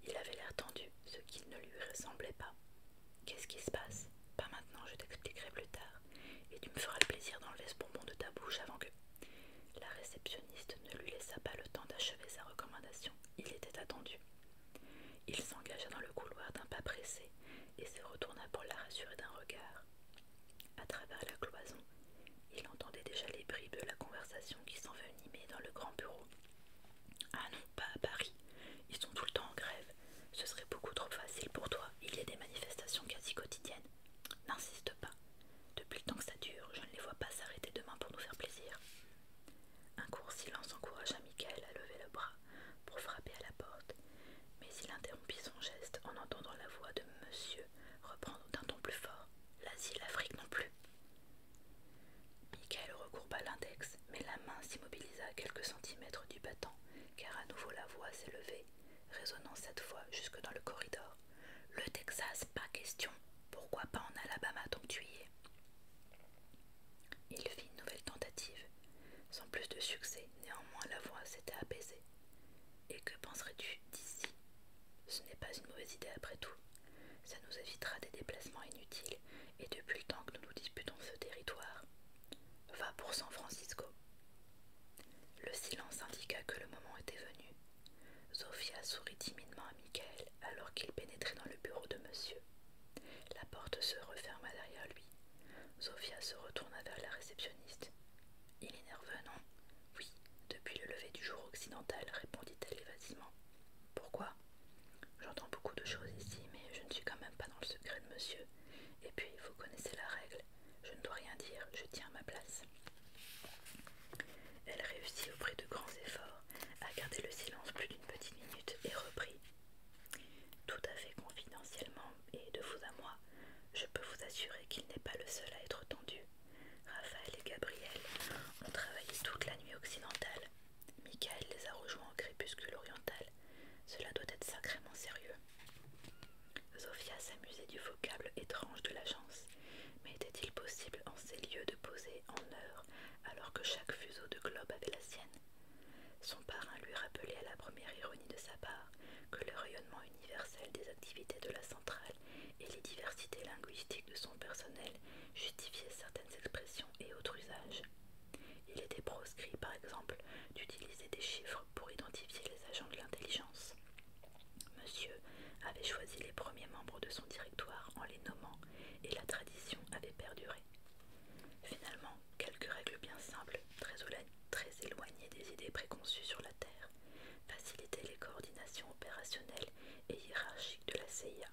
Il avait l'air tendu, ce qui ne lui ressemblait pas. Qu'est-ce qui se passe Pas maintenant, je t'expliquerai plus tard. Et tu me feras le plaisir d'enlever ce bonbon de ta bouche avant que. La réceptionniste ne lui laissa pas le temps d'achever sa recommandation. Il était attendu. Il s'engagea dans le couloir d'un pas pressé et se retourna pour la rassurer d'un regard. À travers la cloison, il entendait déjà les bribes de la conversation qui s'en s'envenimait dans le grand bureau. Ah non, pas à Paris. Ils sont tout le temps en grève. Ce serait beaucoup trop facile pour toi. Il y a des manifestations quasi quotidiennes. N'insiste pas. Depuis le temps que ça dure, je ne les vois pas s'arrêter demain pour nous faire plaisir. Un court silence encouragea Michael à lever le bras pour frapper à la porte, mais il interrompit son geste en entendant la voix de Monsieur reprendre d'un ton plus fort. L'Asie l'Afrique non plus. Michael recourba l'index, mais la main s'immobilisa à quelques centimètres du battant, car à nouveau la voix s'élevait, résonnant cette fois jusque dans le corridor. Le Texas, pas question. Pourquoi pas en Alabama donc tu y es Il fit une nouvelle tentative. Sans plus de succès, néanmoins la voix s'était apaisée. Et que penserais-tu d'ici Ce n'est pas une mauvaise idée après tout. Ça nous évitera des déplacements inutiles et depuis le temps que nous nous disputons ce territoire. Va pour San Francisco. Le silence indiqua que le moment était venu. Sofia sourit timidement à Michael alors qu'il pénétrait dans le bureau de monsieur. La porte se referma derrière lui. Sofia se retourna vers la réceptionniste. Il est nerveux, non Oui, depuis le lever du jour occidental, répondit-elle évasivement. Pourquoi J'entends beaucoup de choses ici, mais je ne suis quand même pas dans le secret de monsieur. Et puis, vous connaissez la règle. Je ne dois rien dire, je tiens ma place. Elle réussit au de grands efforts à garder le silence plus d'une petite minute et reprit. Tout à fait confidentiellement, et de vous à moi, je peux vous assurer qu'il n'est pas le seul à être tendu. Raphaël et Gabriel ont travaillé toute la nuit occidentale. Michael les a rejoints au crépuscule oriental. Cela doit être sacrément sérieux. Zofia s'amusait du vocable étrange de l'agence. Mais était-il possible en ces lieux de poser en heure alors que chaque fuseau de globe avait la sienne Son parrain lui rappelait à la première ironie de sa part que le rayonnement universel des activités de la centrale et les diversités linguistiques de son personnel justifiaient certaines expressions et autres usages. Il était proscrit, par exemple, d'utiliser des chiffres pour identifier les agents de l'intelligence. Monsieur avait choisi les premiers membres de son directoire en les nommant et la tradition avait perduré. Finalement, quelques règles bien simples, très éloignées des idées préconçues sur la Terre faciliter les coordinations opérationnelles et hiérarchiques de la CIA.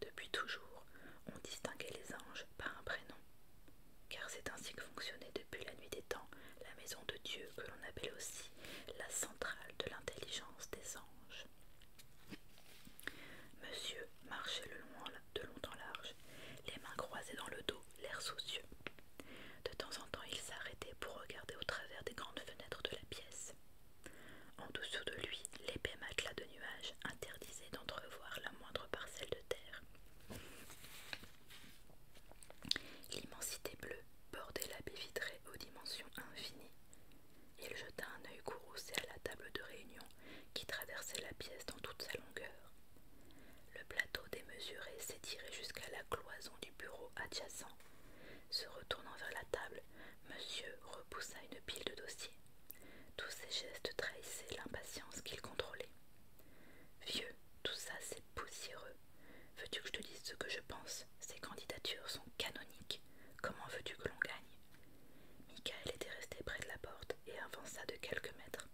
Depuis toujours, on distinguait les anges par un prénom, car c'est ainsi que fonctionnait depuis la nuit des temps la maison de Dieu que l'on appelle aussi la centrale de l'intelligence des anges. Monsieur marchait le long, de long en large, les mains croisées dans le dos, l'air soucieux. De temps en temps, il s'arrêtait pour regarder au travers des grandes fenêtres de la pièce en dessous de lui, l'épais matelas de nuages interdisait d'entrevoir la moindre parcelle de terre. L'immensité bleue bordait la baie vitrée aux dimensions infinies. Il jeta un œil courroucé à la table de réunion qui traversait la pièce dans toute sa longueur. Le plateau démesuré s'étirait jusqu'à la cloison du bureau adjacent, se retournant vers la table, monsieur repoussa une pile de dossiers. Tous ces gestes trahissaient l'impatience qu'il contrôlait. Vieux, tout ça c'est poussiéreux. Veux-tu que je te dise ce que je pense Ces candidatures sont canoniques. Comment veux-tu que l'on gagne Michael était resté près de la porte et avança de quelques mètres.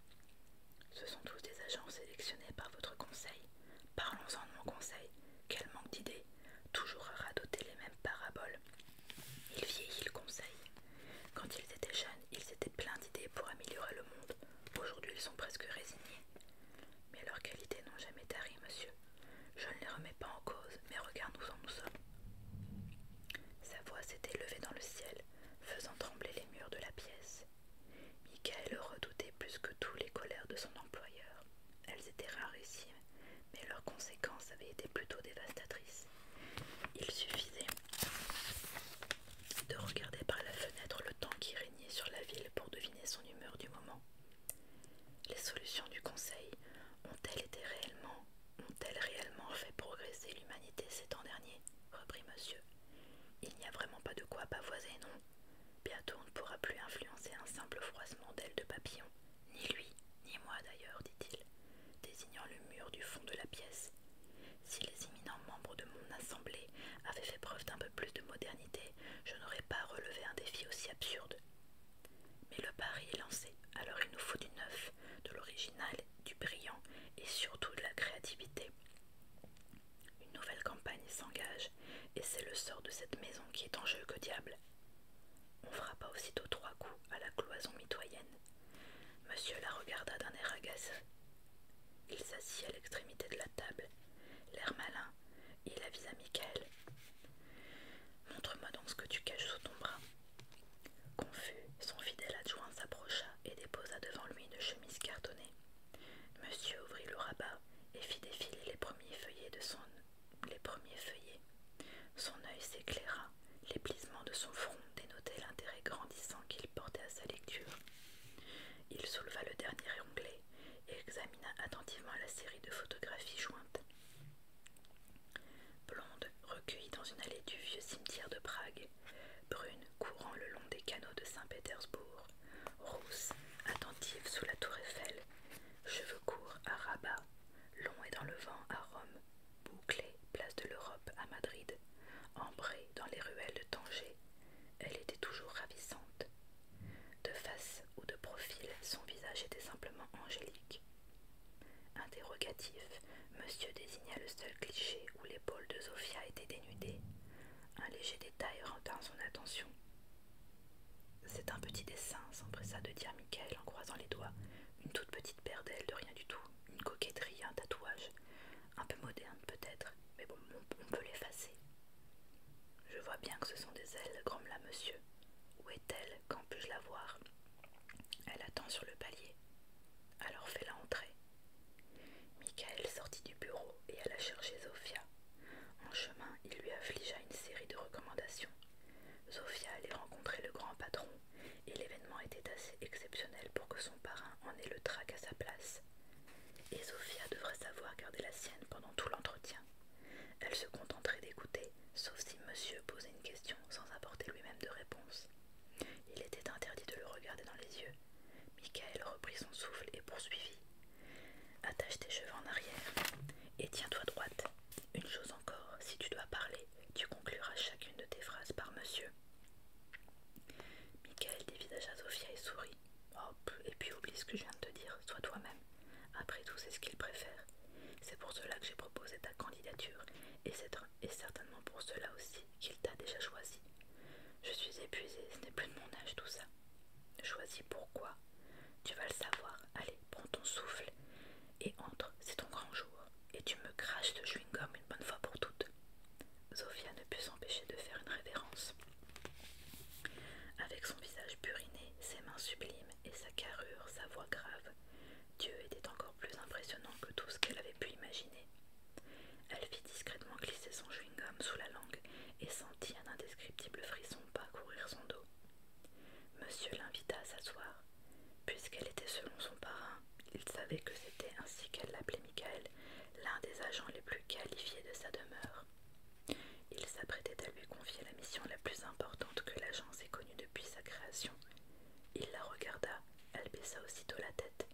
Ce sont tous des agents sélectionnés par votre conseil. Parlons-en de mon conseil. Quel manque d'idées toujours à radoter les mêmes paraboles. Il vieillit le conseil. Quand ils étaient jeunes, ils étaient pleins d'idées pour améliorer le monde. Aujourd'hui, ils sont presque résignés. Mais leurs qualités n'ont jamais tari, monsieur. Je ne les remets pas en cause, mais regarde-nous en nous sommes. Sa voix s'était levée dans le ciel, faisant trembler les murs de la pièce. Michael redoutait plus que tout les colères de son employeur. Elles étaient ici, mais leurs conséquences avaient été plutôt dévastatrices. Il suffisait de regarder par la fenêtre le temps qui régnait sur la ville pour deviner son humeur du moment. Les solutions du Conseil ont-elles été réellement, ont-elles réellement fait progresser l'humanité ces temps derniers reprit monsieur. Il n'y a vraiment pas de quoi pavoiser, non Bientôt on ne pourra plus influencer un simple froissement d'ailes de papillon, ni lui, ni moi d'ailleurs, dit-il, désignant le mur du fond de la pièce. Si les imminents membres de mon assemblée avaient fait preuve d'un peu plus de modernité, je n'aurais pas relevé un défi aussi absurde. Mais le pari est lancé, alors il nous faut du neuf, de l'original, du brillant et surtout de la créativité. Une nouvelle campagne s'engage, et c'est le sort de cette maison qui est en jeu que diable. On frappa aussitôt trois coups à la cloison mitoyenne. Monsieur la regarda d'un air agace Il s'assit à l'extrémité de la table. L'air malin, et il avisa Michael. Montre-moi donc ce que tu caches sous ton bras. Confus, son fidèle adjoint s'approcha et déposa devant lui une chemise cartonnée. Monsieur ouvrit le rabat et fit défiler les premiers feuillets de son les premiers feuillets. Son œil s'éclaira, plisements de son front dénotait l'intérêt grandissant qu'il portait à sa lecture. Il souleva le dernier onglet et examina attentivement la série de photographies jointes. Blonde, recueillie dans une allée du vieux cimetière de Prague, brune, courant le long des canaux de Saint-Pétersbourg, rousse, attentive sous la tour Eiffel, Cheveux courts à Rabat, longs et dans le vent à Rome, bouclés place de l'Europe à Madrid, ambrée dans les ruelles de Tanger, elle était toujours ravissante. De face ou de profil, son visage était simplement angélique. Interrogatif, monsieur désigna le seul cliché où l'épaule de Zofia était dénudée. Un léger détail retint son attention. C'est un petit dessin, s'empressa de dire Michael en croisant les doigts. Une toute petite paire d'ailes de rien du tout, une coquetterie, un tatouage. Un peu moderne peut-être, mais bon, on peut l'effacer. Je vois bien que ce sont des ailes, grommela monsieur. Où est-elle Quand puis-je la voir Elle attend sur le palier. Alors fais-la entrer. Michael sortit du bureau et alla chercher Zofia. En chemin, il lui affligea une série de recommandations. Zophia allait rencontrer le grand patron, et l'événement était assez exceptionnel pour que son parrain en ait le trac à sa place. Et Sofia devrait savoir garder la sienne pendant tout l'entretien. Elle se contenterait d'écouter, sauf si monsieur posait une question sans apporter lui-même de réponse. Il était interdit de le regarder dans les yeux. Michael reprit son souffle et poursuivit. Attache tes cheveux en arrière et tiens-toi droite. Une chose encore, si tu dois parler, tu concluras chacune de tes phrases par monsieur. Michael dévisagea Sophia et sourit. Hop, oh, et puis oublie ce que je viens de te dire, sois toi-même. Après tout, c'est ce qu'il préfère. C'est pour cela que j'ai proposé ta candidature, et c'est certainement pour cela aussi qu'il t'a déjà choisi. Je suis épuisée, ce n'est plus de mon âge tout ça. Choisis pourquoi Tu vas le savoir, allez, prends ton souffle et entre, c'est ton grand jour, et tu me craches ce chewing-gum une bonne fois pour toutes. Zofia ne put s'empêcher de faire une révérence. Avec son visage puriné, ses mains sublimes et sa carrure, sa voix grave, Dieu était encore plus impressionnant que tout ce qu'elle avait pu imaginer. Elle fit discrètement glisser son chewing-gum sous la langue et sentit un indescriptible frisson pas courir son dos. Monsieur l'invita à s'asseoir. Puisqu'elle était selon son parrain, il savait que c'était ainsi qu'elle l'appelait Michael, l'un des agents les plus qualifiés de sa demeure. Il s'apprêtait à lui confier la mission la plus importante que l'agence ait connue depuis sa création. Il la regarda, elle baissa aussitôt la tête.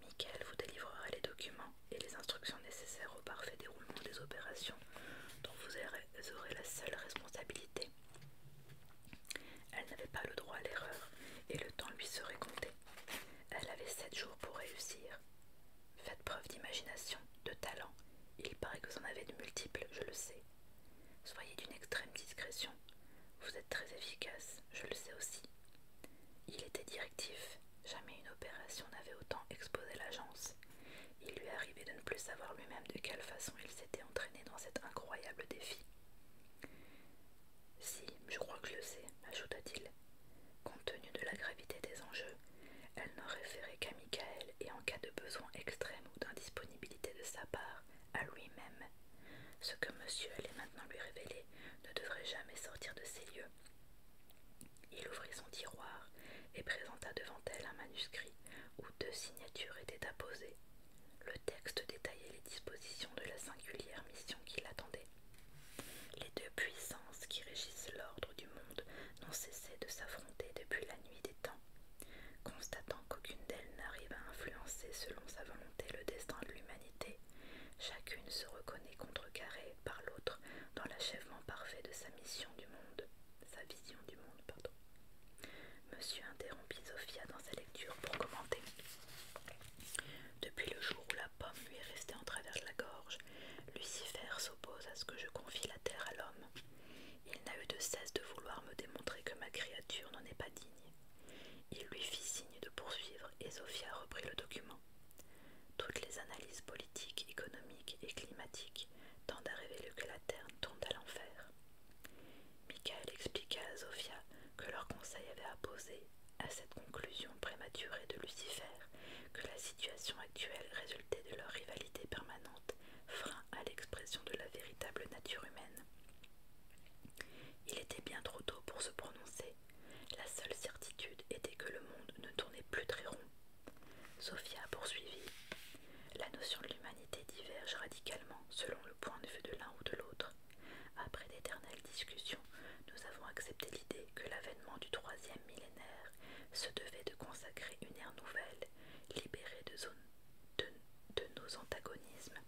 Michael vous délivrera les documents et les instructions nécessaires au parfait déroulement des opérations dont vous aurez aurait la seule responsabilité. Elle n'avait pas le droit à l'erreur et le temps lui serait compté. Elle avait sept jours pour réussir. Faites preuve d'imagination, de talent. Il paraît que vous en avez de multiples, je le sais. Soyez d'une extrême discrétion. Vous êtes très efficace, je le sais aussi. Il était directif. Jamais une opération n'avait autant exposé l'agence. Il lui arrivait de ne plus savoir lui-même de quelle façon il s'était entraîné dans cet incroyable défi. Si, je crois que je le sais, ajouta-t-il. Compte tenu de la gravité des enjeux, elle n'en référait qu'à Michael et en cas de besoin extrême ou d'indisponibilité de sa part, à lui-même. Ce que monsieur allait maintenant lui révéler ne devrait jamais sortir de ses lieux. Il ouvrit son tiroir et présenta devant elle un manuscrit où deux signatures étaient apposées. Le texte détaillait les dispositions de la singulière mission qui l'attendait. Les deux puissances qui régissent l'ordre du monde n'ont cessé de s'affronter depuis la nuit des temps. Constatant qu'aucune d'elles n'arrive à influencer selon sa volonté le destin de l'humanité, chacune se reconnaît contrecarrée par l'autre dans l'achèvement parfait de sa mission du monde sa vision du monde, pardon. Monsieur interrompit Sophia dans sa lecture pour commenter. Depuis le jour où la pomme lui est restée en travers de la gorge, Lucifer s'oppose à ce que je confie la terre à l'homme. Il n'a eu de cesse de vouloir me démontrer que ma créature n'en est pas digne. Il lui fit signe de poursuivre et Sophia reprit le document. Toutes les analyses politiques, économiques et climatiques Tant d'arriver à que la terre tombe à l'enfer. Michael expliqua à Zofia que leur conseil avait apposé à cette conclusion prématurée de Lucifer que la situation actuelle résultait de leur rivalité permanente, frein à l'expression de la véritable nature humaine. Il était bien trop tôt pour se prononcer. La seule certitude était que le monde ne tournait plus très rond Sophia poursuivi « La notion de l'humanité diverge radicalement selon le point de vue de l'un ou de l'autre. Après d'éternelles discussions, nous avons accepté l'idée que l'avènement du troisième millénaire se devait de consacrer une ère nouvelle, libérée de, nos antagonismes.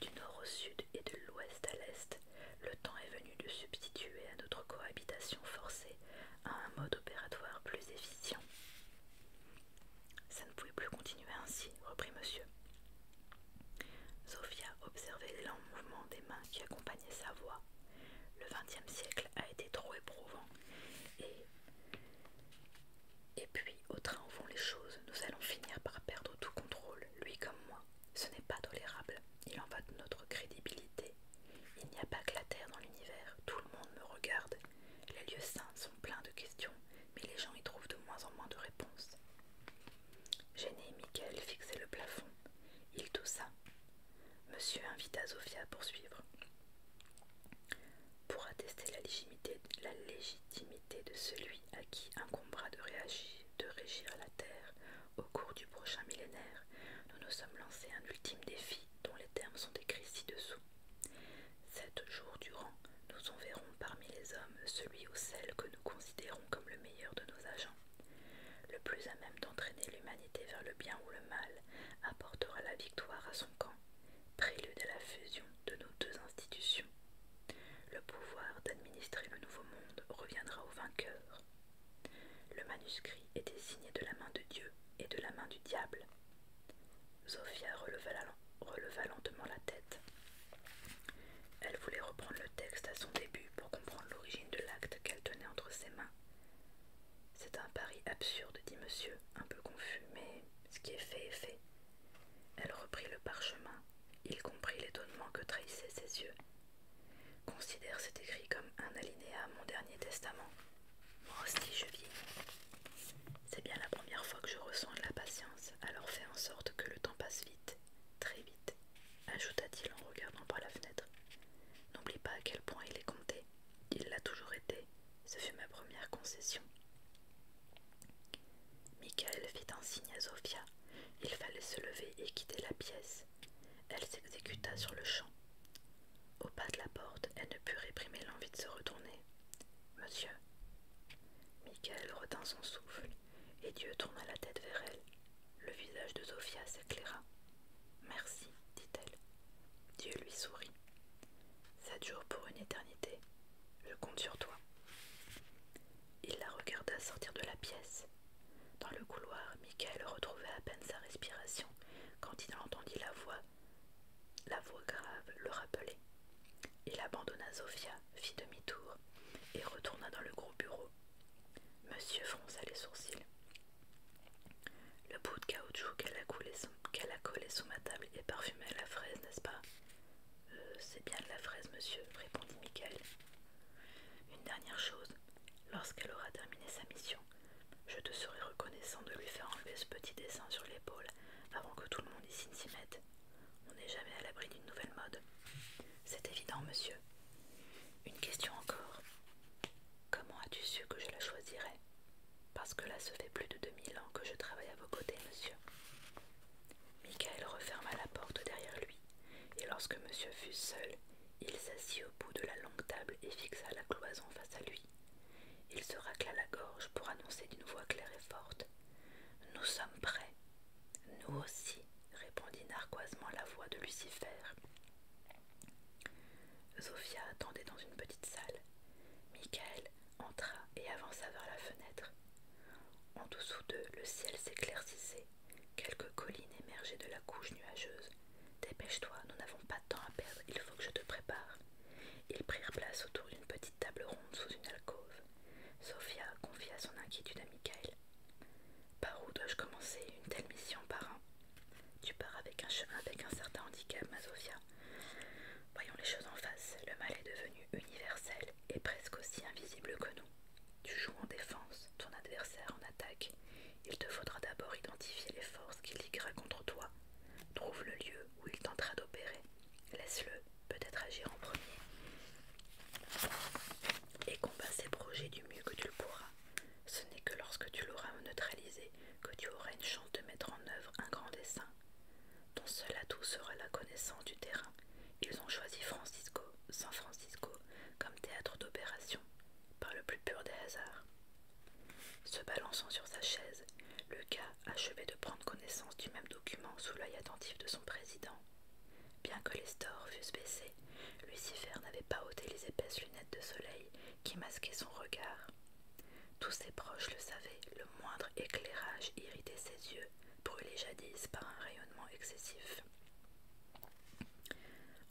Du nord au sud et de l'ouest à l'est, le temps est venu de substituer à notre cohabitation forcée à un mode opératoire plus efficient. Ça ne pouvait plus continuer ainsi, reprit monsieur. Sophia observait les mouvement des mains qui accompagnaient sa voix. Le e siècle a été trop éprouvant. Et, puis, au train où vont les choses, nous allons finir par perdre tout contrôle, lui comme moi. Ce n'est pas tolérable. Il en va de notre crédibilité. Il n'y a pas que la Terre dans l'univers. Tout le monde me regarde les lieux saints sont pleins de questions, mais les gens y trouvent de moins en moins de réponses. Gêné, Michael fixait le plafond. Il toussa. Monsieur invita Zofia à poursuivre. Pour attester la légitimité, de celui à qui incombera de, de régir la Terre au cours du prochain millénaire, nous nous sommes lancés un ultime défi dont les termes sont écrits ci-dessous. Sept jours durant, nous enverrons parmi les hommes celui ou celle que nous considérons comme le meilleur de nos agents. Le plus à même d'entraîner l'humanité vers le bien ou le mal apportera la victoire à son camp, prélude à la fusion de nos deux institutions. Le pouvoir d'administrer le nouveau monde reviendra au vainqueur. Le manuscrit est signé de la main de Dieu et de la main du diable. Sophia releva, lentement la tête. Elle voulait reprendre le texte à son début pour comprendre l'origine de l'acte qu'elle tenait entre ses mains. C'est un pari absurde, dit monsieur, un peu confus, mais ce qui est fait est fait. Elle reprit le parchemin. Il comprit l'étonnement que trahissaient ses yeux. Considère cet écrit comme un alinéa à mon dernier testament, moi oh, aussi je vis. C'est bien la première fois que je ressens de la patience, alors fais en sorte que le temps passe vite, très vite, ajouta-t-il en regardant par la fenêtre. N'oublie pas à quel point il est compté. Il l'a toujours été. Ce fut ma première concession. Michael fit un signe à Sofia. Il fallait se lever et quitter la pièce. Elle s'exécuta sur le champ. Au pas de la porte, elle ne put réprimer l'envie de se retourner. Monsieur Michael retint son souffle, et Dieu tourna la tête vers elle. Le visage de Sofia s'éclaira. Merci, dit-elle. Dieu lui sourit. Ça dure pour une éternité. Je compte sur toi. Il la regarda sortir de la pièce. Dans le couloir, Michael retrouvait à peine sa respiration quand il entendit la voix la voix grave le rappelait. Il abandonna Zofia, fit demi-tour, et retourna dans le gros bureau. Monsieur fronça les sourcils. Le bout de caoutchouc qu'elle a, collé sous ma table est parfumé à la fraise, n'est-ce pas euh, C'est bien de la fraise, monsieur, répondit Michael. Une dernière chose, lorsqu'elle aura terminé sa mission, je te serais reconnaissant de lui faire enlever ce petit dessin sur l'épaule avant que tout le monde ici ne s'y mette. On n'est jamais à l'abri d'une nouvelle mode. C'est évident, monsieur. Une question encore. Comment as-tu su que je la choisirais Parce que là, se fait plus de 2000 ans que je travaille à vos côtés, monsieur. Michael referma la porte derrière lui, et lorsque monsieur fut seul, il s'assit au bout de la longue table et fixa la cloison face à lui. Il se racla la gorge pour annoncer d'une voix claire et forte. Nous sommes prêts. Nous aussi, répondit narquoisement la voix de Lucifer. Zofia attendait dans une petite salle. Michael entra et avança vers la fenêtre. En dessous d'eux, le ciel s'éclaircissait. Quelques collines émergeaient de la couche nuageuse. Dépêche-toi, nous n'avons pas de temps à perdre, il faut que je te prépare. Ils prirent place autour d'une petite table ronde sous une alcôve. Sophia confia son inquiétude à Michael. Par où dois-je commencer une telle mission, par un Tu pars avec un chemin avec un certain handicap, ma Sophia. Voyons les choses en face. Le mal est devenu universel et presque aussi invisible que nous. Tu joues en défense, ton adversaire en attaque. Il te faudra d'abord identifier les forces qui ligueraient contre toi. Trouve le lieu où il tentera d'opérer. Laisse-le peut-être agir en premier et combat ses projets du mieux que tu le pourras. Ce n'est que lorsque tu l'auras neutralisé que tu auras une chance de mettre en œuvre un grand dessin Ton seul atout sera la connaissance du terrain. Ils ont choisi Francisco, San Francisco, comme théâtre d'opération, par le plus pur des hasards. Se balançant sur sa chaise, Lucas achevait de prendre connaissance du même document sous l'œil attentif de son président. Bien que les stores fussent baissés, Lucifer n'avait pas ôté les épaisses lunettes de soleil qui masquaient son regard. Tous ses proches le savaient, le moindre éclairage irritait ses yeux, brûlés jadis par un rayonnement excessif.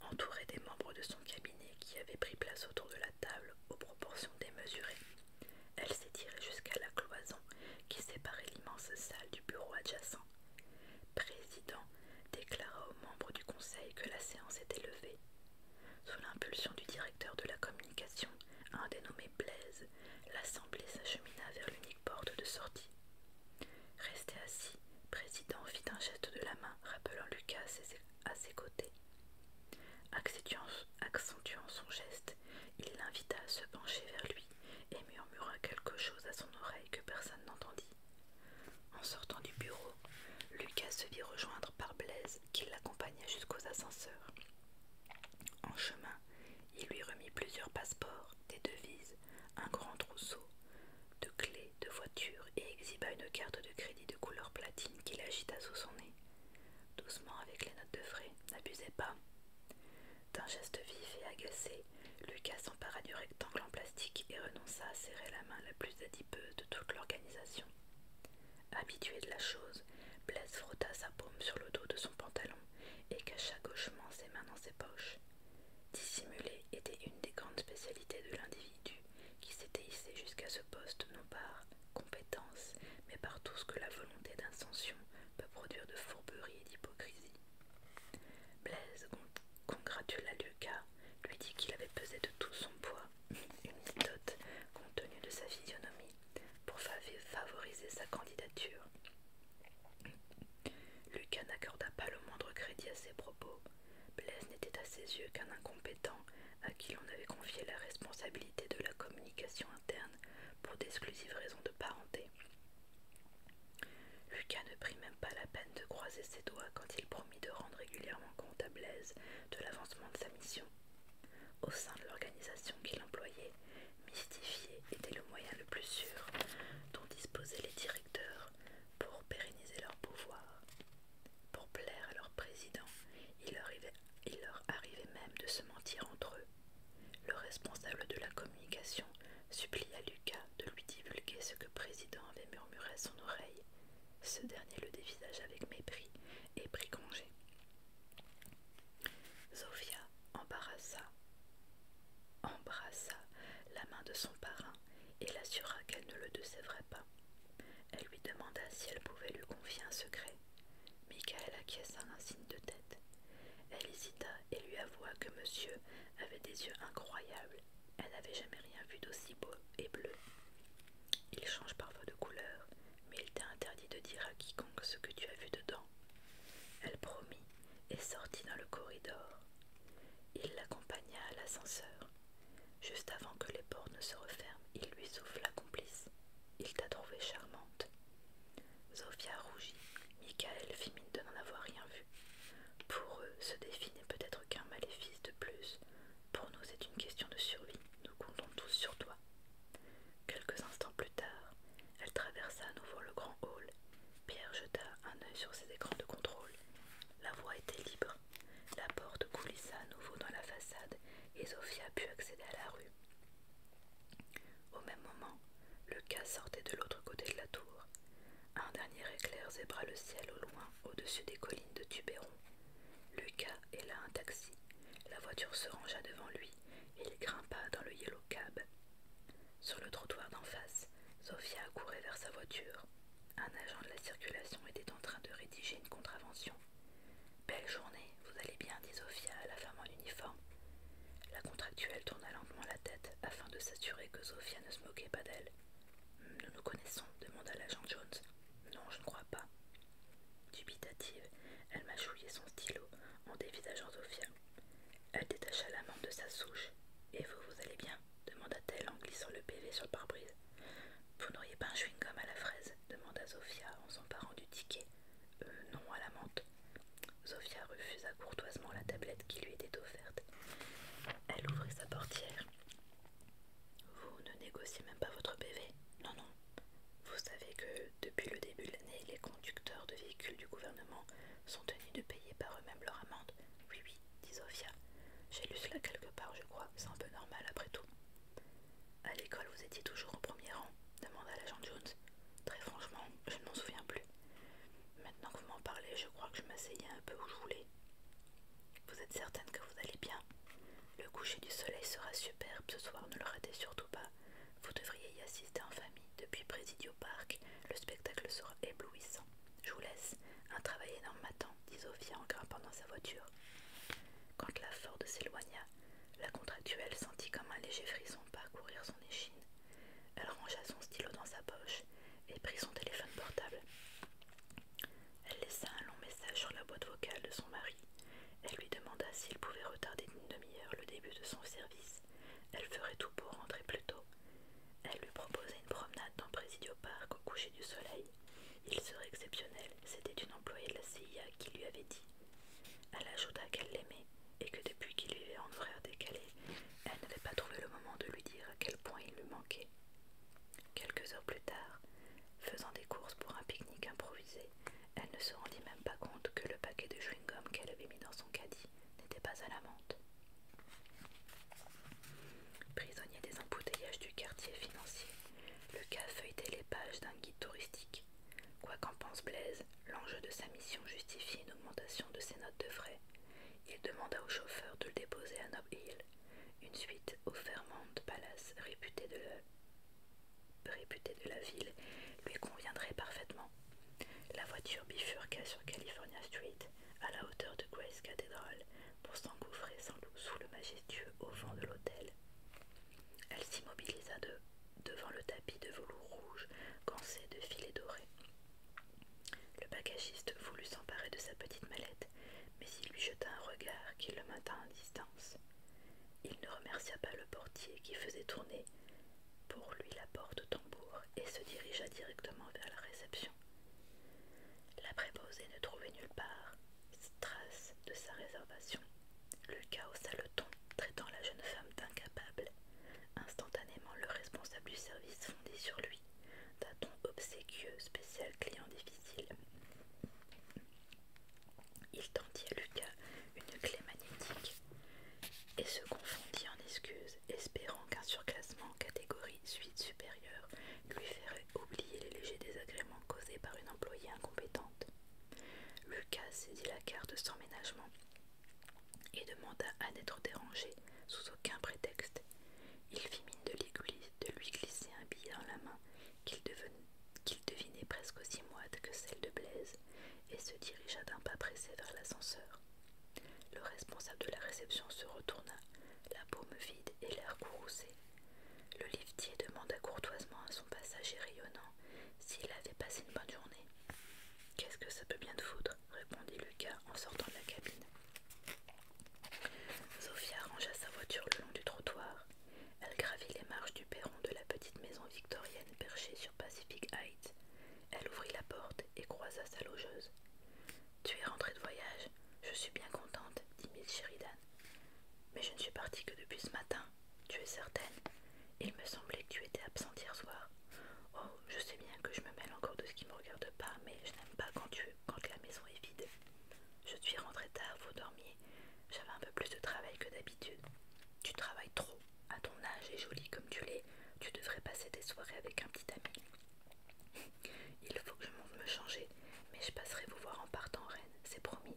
Entouré des membres de son cabinet qui avaient pris place autour de la table aux proportions démesurées, elle s'étirait jusqu'à la cloison qui séparait l'immense salle du bureau adjacent. Président déclara aux membres du conseil que la séance était levée. Sous l'impulsion du directeur de la communication, un dénommé Blaise, l'assemblée s'achemina vers l'unique porte de sortie. Resté assis, président fit un geste de la main, rappelant Lucas à ses côtés. Accentuant, son geste, il l'invita à se pencher vers lui et murmura quelque chose à son oreille que personne n'entendit. En sortant du bureau, Lucas se vit rejoindre par Blaise qui l'accompagna jusqu'aux ascenseurs. En chemin, il lui remit plusieurs passeports, des devises, un grand trousseau, de clés de voitures et exhiba une carte de crédit de couleur platine qu'il agita sous son nez. Doucement avec les notes de frais, n'abusez pas. D'un geste vif et agacé, Lucas s'empara du rectangle en plastique et renonça à serrer la main la plus adipeuse de toute l'organisation. Habitué de la chose, Blaise frotta sa paume sur le dos de son pantalon et cacha gauchement ses mains dans ses poches. Dissimuler était une des grandes spécialités de l'individu qui s'était hissé jusqu'à ce poste non part compétence, mais par tout ce que la volonté d'instention peut produire de fourberie et d'hypocrisie. Blaise congratula Lucas, lui dit qu'il avait pesé de tout son poids, une méthode compte tenu de sa physionomie, pour favoriser sa candidature. Lucas n'accorda pas le moindre crédit à ses propos. Blaise n'était à ses yeux qu'un incompétent à qui l'on avait confié la responsabilité de la communication interne pour d'exclusives raisons de parenté. Lucas ne prit même pas la peine de croiser ses doigts quand il promit de rendre régulièrement compte à Blaise de l'avancement de sa mission. Au sein de l'organisation qu'il employait, mystifier était le moyen le plus sûr dont disposaient les directeurs pour pérenniser leur pouvoir. Pour plaire à leur président, il arrivait il leur arrivait même de se mentir entre eux. Le responsable de la communication supplia Lucas de lui divulguer ce que Président avait murmuré à son oreille. Ce dernier le dévisagea avec mépris et prit congé. Zofia embarrassa, embrassa la main de son parrain et l'assura qu'elle ne le décevrait pas. Elle lui demanda si elle pouvait lui confier un secret Michael acquiesça un signe de tête. Elle hésita et lui avoua que monsieur avait des yeux incroyables. Elle n'avait jamais rien vu d'aussi beau et bleu. Il change parfois de couleur, mais il t'est interdit de dire à quiconque ce que tu as vu dedans. Elle promit et sortit dans le corridor. Il l'accompagna à l'ascenseur. Juste avant que les portes ne se referment, il lui souffle la complice. Il t'a trouvée charmante. Zofia rougit. Michael fit mine de n'en avoir rien vu. Pour eux, ce défi n'est peut-être qu'un maléfice de plus. Pour nous, c'est une question de survie. Nous comptons tous sur toi. Quelques instants plus tard, elle traversa à nouveau le grand hall. Pierre jeta un œil sur ses écrans de contrôle. La voie était libre. La porte coulissa à nouveau dans la façade et Zofia put accéder à la rue. Au même moment, Lucas sortait de l'autre côté de la tour. Un dernier éclair zébra le ciel au loin, au-dessus des collines de Tuberon. Lucas héla un taxi. La voiture se rangea devant lui et il grimpa dans le Yellow Cab. Sur le trottoir d'en face, Sofia courait vers sa voiture. Un agent de la circulation était en train de rédiger une contravention Belle journée, vous allez bien, dit Sophia à la femme en uniforme. La contractuelle tourna lentement la tête afin de s'assurer que Sophia ne se moquait pas d'elle. Hum, nous nous connaissons demanda l'agent Jones. Non, je ne crois pas. Dubitative, elle m'a chouillé son stylo en dévisageant Sophia. Elle détacha la de sa souche. Et vous, vous allez bien demanda-t-elle en glissant le PV sur le pare-brise. Vous n'auriez pas un chewing-gum à la fraise demanda Sophia en s'emparant du ticket euh, non à l'amende. menthe. refusa courtoisement la tablette qui lui était offerte. Elle ouvrit sa portière. Vous ne négociez même pas votre PV Non, non. Vous savez que depuis le début de l'année, les conducteurs de véhicules du gouvernement sont tenus de payer par eux-mêmes leur amende. Oui, oui, dit Sophia. J'ai lu cela quelque part, je crois. C'est un peu normal après tout. À l'école, vous étiez toujours au premier rang demanda l'agent Jones. Très franchement, je ne m'en souviens plus. Maintenant que vous m'en parlez, je crois que je m'asseyais un peu où je voulais. Vous êtes certaine que vous allez bien Le coucher du soleil sera superbe ce soir, ne le ratez surtout pas. Vous devriez y assister en famille. Depuis Presidio Park, le spectacle sera éblouissant. Je vous laisse. Un travail énorme m'attend, dit Sophia en grimpant dans sa voiture. Quand la Ford s'éloigna, la contractuelle sentit comme un léger frisson parcourir son échine. Elle rangea son stylo dans sa poche et prit son téléphone portable. Elle laissa un long message sur la boîte vocale de son mari. Elle lui demanda s'il pouvait retarder d'une demi-heure le début de son service. Elle ferait tout pour rentrer plus tôt. Elle lui proposa une promenade dans Presidio Park au coucher du soleil. Il serait exceptionnel, c'était une employée de la CIA qui lui avait dit elle ajouta qu'elle l'aimait et que depuis qu'il vivait en frère décalé, elle n'avait pas trouvé le moment de lui dire à quel point il lui manquait. Quelques heures plus tard, faisant des courses pour un pique-nique improvisé, elle ne se rendit même pas compte que le paquet de chewing-gum qu'elle avait mis dans son caddie n'était pas à la menthe. Prisonnier des embouteillages du quartier financier, le cas feuilletait les pages d'un guide touristique Quoi qu'en pense Blaise, l'enjeu de sa mission justifie une augmentation de ses notes de frais. Il demanda au chauffeur de le déposer à Nob Hill, une suite au Fairmont Palace réputé de, la... de la ville lui conviendrait parfaitement. La voiture bifurqua sur California Street, à la hauteur de Grace Cathedral, pour s'engouffrer sans doute sous le majestueux auvent de l'hôtel. Elle s'immobilisa de devant le tapis de velours rouge cancé de filets dorés. Le bagagiste voulut s'emparer de sa petite mallette, mais il lui jeta un regard qui le maintint à distance. Il ne remercia pas le portier qui faisait tourner pour lui la porte tambour et se dirigea directement vers la réception. La préposée ne trouvait nulle part trace de sa réservation Lucas haussa le ton, traitant la jeune femme d'incapable. Instantanément, le responsable du service fondé sur lui, d'un ton obséquieux, spécial client difficile. Il tendit à Lucas une clé magnétique et se confondit en excuses, espérant qu'un surclassement en catégorie suite supérieure lui ferait oublier les légers désagréments causés par une employée incompétente. Lucas saisit la carte sans ménagement et demanda à n'être dérangé sous aucun prétexte. Il fit mine de, lui glisser un billet dans la main qu'il devinait presque aussi moite que celle de Blaise et se dirigea d'un pas pressé vers l'ascenseur. Le responsable de la réception se retourna, la paume vide et l'air courroucé. Le liftier demanda courtoisement à son passager rayonnant s'il avait passé une bonne journée. Qu'est-ce que ça peut bien te foutre répondit Lucas en sortant de la cabine. Sophia rangea sa voiture le long du trottoir. Elle gravit les marches du perron de la petite maison victorienne perchée sur Pacific Heights. Elle ouvrit la porte et croisa sa logeuse. Tu es rentrée de voyage, je suis bien contente, dit Miss Sheridan. Mais je ne suis partie que depuis ce matin, tu es certaine Il me semblait que tu étais absente hier soir. Oh, je sais bien que je me mêle encore de ce qui me regarde pas, mais je n'aime pas quand, tu, quand la maison est vide. Je suis rentrée tard, vous dormiez. J'avais un peu plus de travail que d'habitude. Tu travailles trop. À ton âge et jolie comme tu l'es, tu devrais passer des soirées avec un petit ami. Il faut que je me change, mais je passerai vous voir en partant, reine, c'est promis.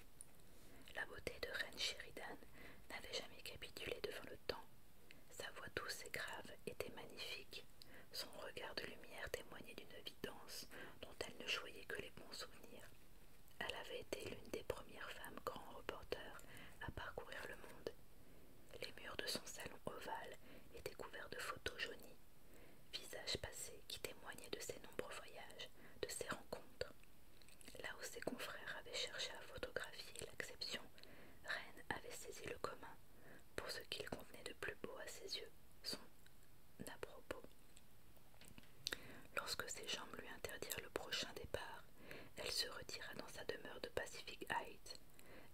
La beauté de Reine Sheridan n'avait jamais capitulé devant le temps. Sa voix douce et grave était magnifique. Son regard de lumière témoignait d'une évidence dont elle ne joyait que les bons souvenirs. Elle avait été l'une des premières femmes grands reporters à parcourir le monde. Les murs de son salon ovale étaient couverts de photos jaunies, visages passés qui témoignaient de ses nombreux voyages, de ses rencontres. Là où ses confrères avaient cherché à photographier l'exception, Rennes avait saisi le commun pour ce qu'il convenait de plus beau à ses yeux, son à propos. Lorsque ses jambes lui interdirent le prochain départ, elle se retira dans sa demeure de Pacific Heights.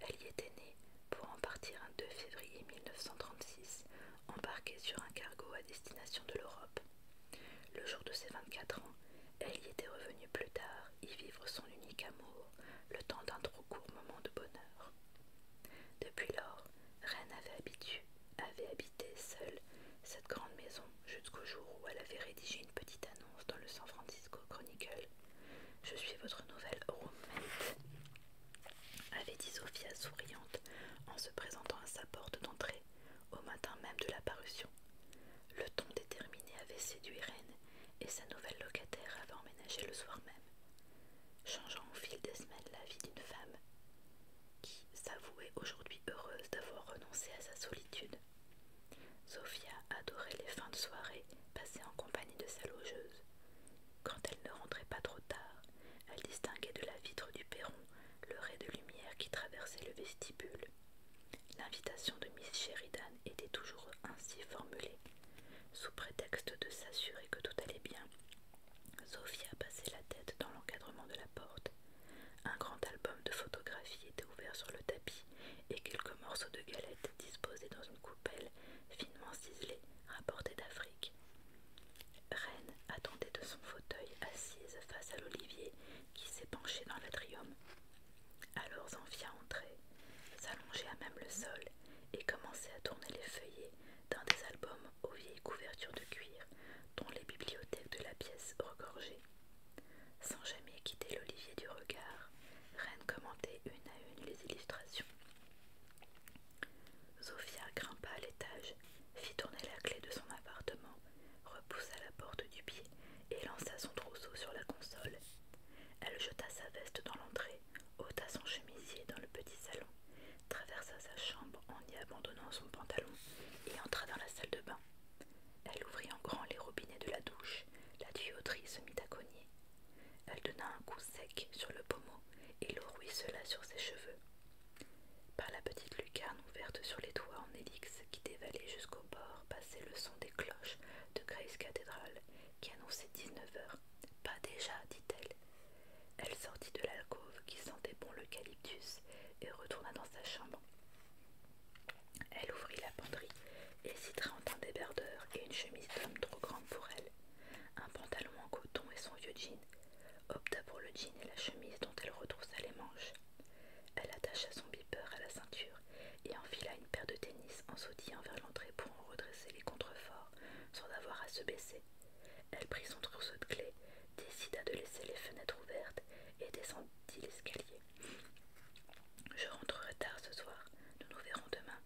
Elle y était née pour en partir un 2 février 1936, embarquée sur un cargo à destination de l'Europe. Le jour de ses 24 ans, elle y était revenue plus tard y vivre son unique amour, le temps d'un trop court moment de bonheur. Depuis lors, Reine avait, avait habité seule cette grande maison jusqu'au jour où elle avait rédigé une petite annonce dans le San Francisco Chronicle. Je suis votre nouvelle roommate, avait dit Sophia souriante en se présentant à sa porte d'entrée au matin même de la parution, le ton déterminé avait séduit Rennes et sa nouvelle locataire avait emménagé le soir même, changeant au fil des semaines la vie d'une femme qui s'avouait aujourd'hui heureuse d'avoir renoncé à sa solitude. Sophia adorait les fins de soirée passées en compagnie de sa logeuse. Quand elle ne rentrait pas trop tard, elle distinguait de la vitre du perron le ray de lumière qui traversait le vestibule L'invitation de Miss Sheridan était toujours ainsi formulée. Sous prétexte de s'assurer que tout allait bien, Sophia passait la tête dans l'encadrement de la porte. Un grand album de photographies était ouvert sur le tapis et quelques morceaux de galettes disposés dans une coupelle finement ciselée rapportée d'Afrique. Reine attendait de son fauteuil assise face à l'olivier qui s'est penché dans l'atrium. Alors Zanfia entrait, s'allongeait à même le sol et commençait à tourner les feuillets d'un des albums aux vieilles couvertures de cuir dont les bibliothèques de la pièce regorgeaient. Sans jamais quitter l'olivier du regard, Reine commentait une à une les illustrations. Zofia grimpa à l'étage, fit tourner la clé de son appartement repoussa la porte du pied et lança son trousseau sur la console. Elle jeta sa veste dans l'entrée, ôta son chemisier dans le petit salon, traversa sa chambre en y abandonnant son pantalon et entra dans la salle de bain. Elle ouvrit en grand les robinets de la douche, la tuyauterie se mit à cogner. Elle donna un coup sec sur le pommeau et le ruissela sur ses cheveux. Par la petite lucarne ouverte sur les toits en hélix qui dévalait jusqu'au bord, passer le son des cloches de Grace Cathedral qui annonçait 19 h Pas déjà, dit-elle. Elle sortit de l'alcôve qui sentait bon l'eucalyptus et retourna dans sa chambre. Elle ouvrit la penderie et s'y en un débardeur et une chemise d'homme trop grande pour elle, un pantalon en coton et son vieux jean, opta pour le jean et la chemise dont elle retroussa les manches. Elle attacha son beeper à la ceinture et enfila une paire de tennis en sautillant vers l'entrée pour en redresser les contreforts sans avoir à se baisser. Elle prit son trousseau de clés, décida de laisser les fenêtres ouvertes et descendit l'escalier. Je rentrerai tard ce soir, nous nous verrons demain.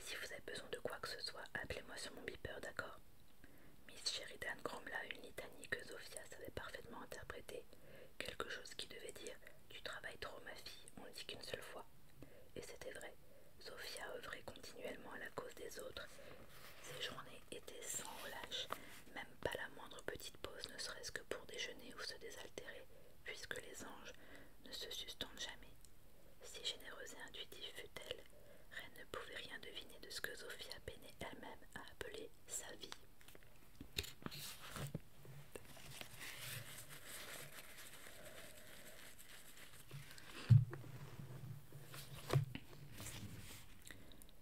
Si vous avez besoin de quoi que ce soit, appelez-moi sur mon beeper, d'accord Miss Sheridan grommela une litanie que Zofia savait parfaitement interpréter, quelque chose qui devait dire tu travailles trop, ma fille, on ne dit qu'une seule fois. Et c'était vrai. Sophia œuvrait continuellement à la cause des autres. Ses journées étaient sans relâche, même pas la moindre petite pause, ne serait-ce que pour déjeuner ou se désaltérer, puisque les anges ne se sustentent jamais. Si généreuse et intuitive fut-elle, rien ne pouvait rien deviner de ce que Sophia peinait elle-même à appeler sa vie.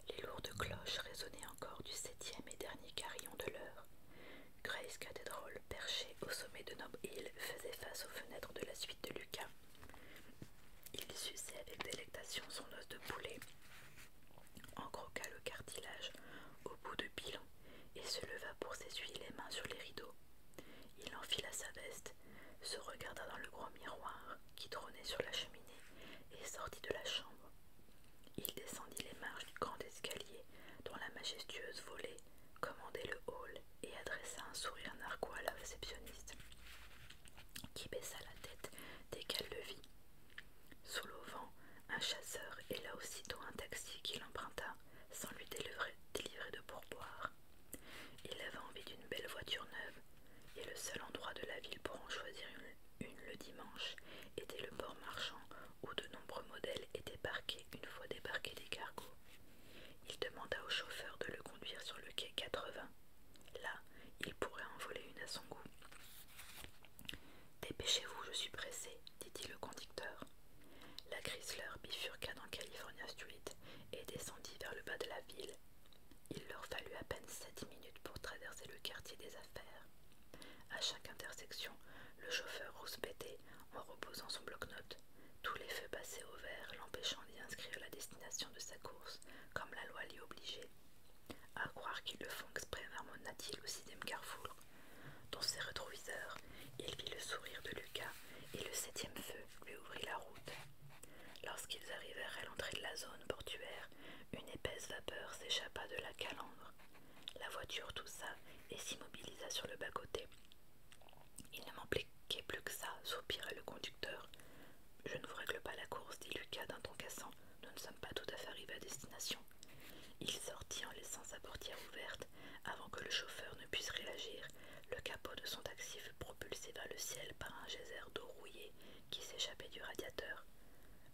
Les lourdes cloches résonnaient encore du septième et dernier carillon de l'heure. Grace Cathedral, perchée au sommet de Nob Hill, faisait face aux fenêtres de la suite de Lucas. Il suçait avec délectation son os de poulet en croqua le cartilage au bout de bilan, et se leva pour s'essuyer les mains sur les rideaux. Il enfila sa veste, se regarda dans le grand miroir qui trônait sur la cheminée et sortit de la chambre. Il descendit les marches du grand escalier dont la majestueuse volée commandait le hall et adressa un sourire narquois à la réceptionniste, qui baissa la tête dès qu'elle le vit. Sous l'auvent, un chasseur héla aussitôt un taxi qui l'emprunta sans lui délivrer, de pourboire. Il avait envie d'une belle voiture neuve, et le seul endroit de la ville pour en choisir une, le dimanche était le port marchand où de nombreux modèles étaient parqués une fois débarqués des cargos. Il demanda au chauffeur de le conduire sur le quai 80. Là, il pourrait en voler une à son goût. Dépêchez-vous, je suis pressé, dit-il le conducteur. La Chrysler bifurqua dans California Street et descendit vers le bas de la ville. Il leur fallut à peine sept minutes pour traverser le quartier des affaires. À chaque intersection, le chauffeur rouspétait en reposant son bloc note Tous les feux passés au vert, l'empêchant d'y inscrire la destination de sa course, comme la loi l'y obligeait. À croire qu'il le font exprès, mon t il au sixième carrefour. Dans ses rétroviseurs, il vit le sourire de Lucas et le septième feu lui ouvrit la route. Lorsqu'ils arrivèrent à l'entrée de la zone portuaire, une épaisse vapeur s'échappa de la calandre. La voiture toussa et s'immobilisa sur le bas-côté. Il ne m'empliquait plus que ça, soupira le conducteur. Je ne vous règle pas la course, dit Lucas d'un ton cassant. Nous ne sommes pas tout à fait arrivés à destination. Il sortit en laissant sa portière ouverte avant que le chauffeur ne puisse réagir. Le capot de son taxi fut propulsé vers le ciel par un geyser d'eau rouillée qui s'échappait du radiateur.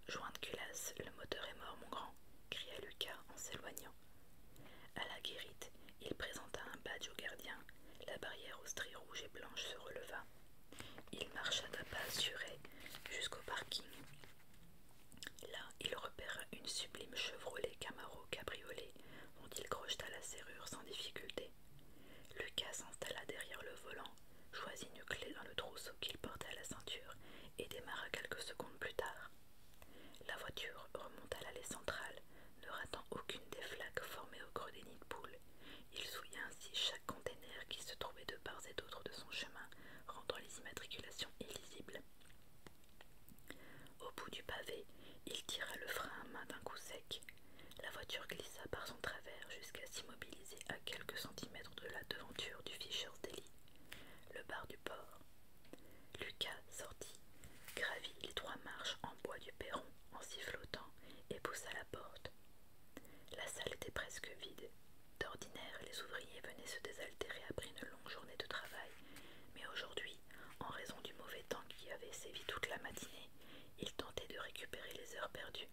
Joint de culasse, le moteur est mort, mon grand, cria Lucas en s'éloignant. À la guérite, il présenta un badge au gardien. La barrière aux stries rouges et blanches se releva. Il marcha d'un pas assuré jusqu'au parking. Là, il repéra une sublime Chevrolet Camaro cabriolet dont il crocheta la serrure sans difficulté. Lucas s'installa derrière le volant, choisit une clé dans le trousseau qu'il portait à la ceinture et démarra quelques secondes plus tard. La voiture remonta l'allée centrale, ne ratant aucune des flaques formées au creux des nids de poule. Il souilla ainsi chaque conteneur qui se trouvait de part et d'autre de son chemin, rendant les immatriculations illisibles. Au bout du pavé, il tira le frein à main d'un coup sec. La voiture glissa par son travers jusqu'à s'immobiliser à quelques centimètres de la devanture du Fisher's Deli, le bar du port. Lucas sortit, gravit les trois marches en bois du perron en sifflotant et poussa la porte. La salle était presque vide, D'ordinaire, les ouvriers venaient se désaltérer après une longue journée de travail, mais aujourd'hui, en raison du mauvais temps qui avait sévi toute la matinée, ils tentaient de récupérer les heures perdues.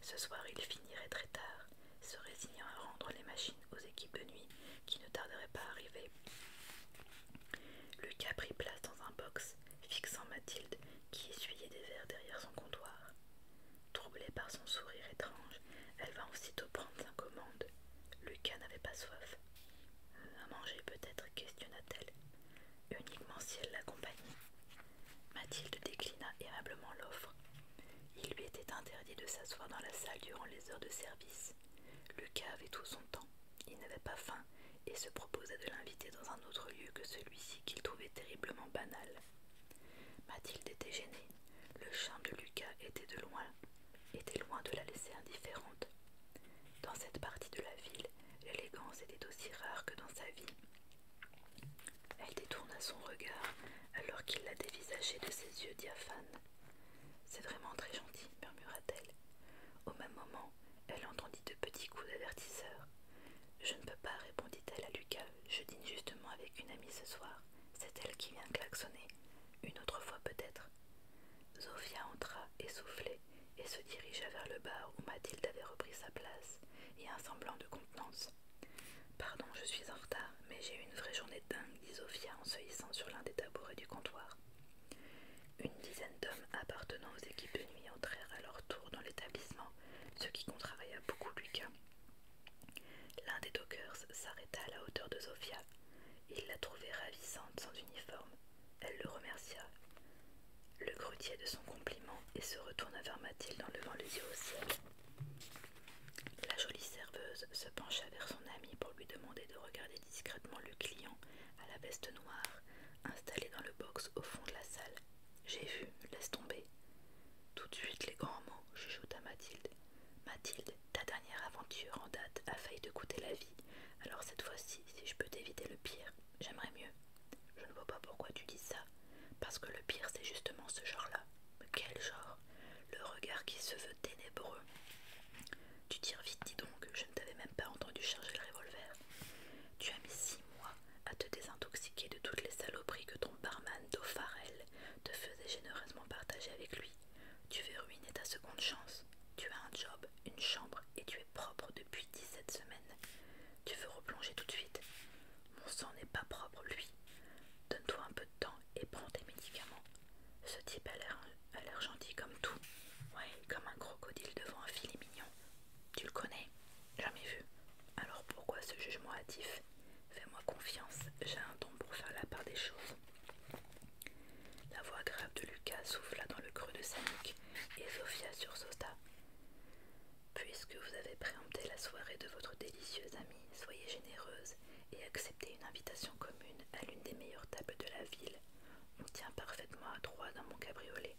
Ce soir, ils finiraient très tard, se résignant à rendre les machines aux équipes de nuit qui ne tarderaient pas à arriver. Lucas prit place dans un box, fixant Mathilde qui essuyait des verres derrière son comptoir. Troublée par son sourire étrange, elle va aussitôt prendre sa commande. Lucas n'avait pas soif. Euh, à manger peut-être, questionna-t-elle. Uniquement si elle l'accompagnait. Mathilde déclina aimablement l'offre. Il lui était interdit de s'asseoir dans la salle durant les heures de service. Lucas avait tout son temps. Il n'avait pas faim et se proposait de l'inviter dans un autre lieu que celui-ci qu'il trouvait terriblement banal. Mathilde était gênée. Le charme de Lucas était de loin était loin de la laisser indifférente. Dans cette partie de la ville, l'élégance était aussi rare que dans sa vie. Elle détourna son regard alors qu'il la dévisageait de ses yeux diaphanes. C'est vraiment très gentil, murmura-t-elle. Au même moment, elle entendit de petits coups d'avertisseur. Je ne peux pas, répondit-elle à Lucas. Je dîne justement avec une amie ce soir c'est elle qui vient klaxonner, une autre fois peut-être. Zophia entra, essoufflée, et se dirigea vers le bar où Mathilde avait repris sa place, et un semblant de contenance. Pardon, je suis en retard, mais j'ai eu une vraie journée dingue, dit Zophia en se hissant sur l'un des tabourets du comptoir. Une dizaine d'hommes appartenant aux équipes de nuit entrèrent à leur tour dans l'établissement, ce qui contraria beaucoup Lucas. L'un des dockers s'arrêta à la hauteur de Zophia. Il la trouvait ravissante sans uniforme. Elle le remercia. Le grutier de son compliment et se retourna vers Mathilde en levant les yeux au ciel. La jolie serveuse se pencha vers son amie pour lui demander de regarder discrètement le client à la veste noire, installé dans le box au fond de la salle. J'ai vu, laisse tomber. Tout de suite les grands mots, chuchota Mathilde. Mathilde, ta dernière aventure en date a failli te coûter la vie. Alors cette fois-ci, si je peux t'éviter le pire, j'aimerais mieux. Je ne vois pas pourquoi tu dis ça. Parce que le pire, c'est justement ce genre-là. Mais Quel genre Le regard qui se veut ténébreux. Tu tires vite, dis donc, je ne t'avais même pas entendu charger le revolver. Tu as mis six mois à te désintoxiquer de toutes les saloperies que ton barman d'Ofarel te faisait généreusement partager avec lui. Tu veux ruiner ta seconde chance. Tu as un job, une chambre et tu es propre depuis 17 semaines. Tu veux replonger tout de suite. Mon sang n'est pas propre, lui. Donne-toi un peu de temps et prends tes médicaments. Ce type a l'air gentil comme tout. Ouais, comme un crocodile devant un filet mignon. Tu le connais Jamais vu. Alors pourquoi ce jugement hâtif Fais-moi confiance, j'ai un don pour faire la part des choses. La voix grave de Lucas souffla dans le creux de sa nuque et Sophia sursauta. Puisque vous avez préempté la soirée de votre délicieuse amie, soyez généreuse et acceptez une invitation commune à l'une des meilleures tables de la ville. On tient parfaitement à trois dans mon cabriolet.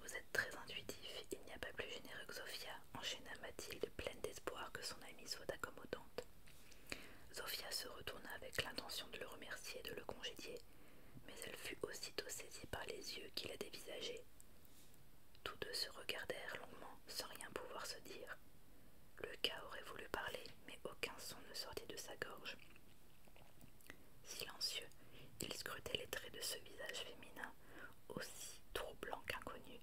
Vous êtes très intuitif, il n'y a pas plus généreux que Sophia, enchaîna Mathilde, pleine d'espoir que son amie soit accommodante. Zofia se retourna avec l'intention de le remercier et de le congédier, mais elle fut aussitôt saisie par les yeux qui la dévisageaient. Tous deux se regardèrent longuement sans rien pouvoir se dire. Le cas aurait voulu parler, mais aucun son ne sortit de sa gorge. Silencieux, il scrutait les traits de ce visage féminin, aussi troublant qu'inconnu.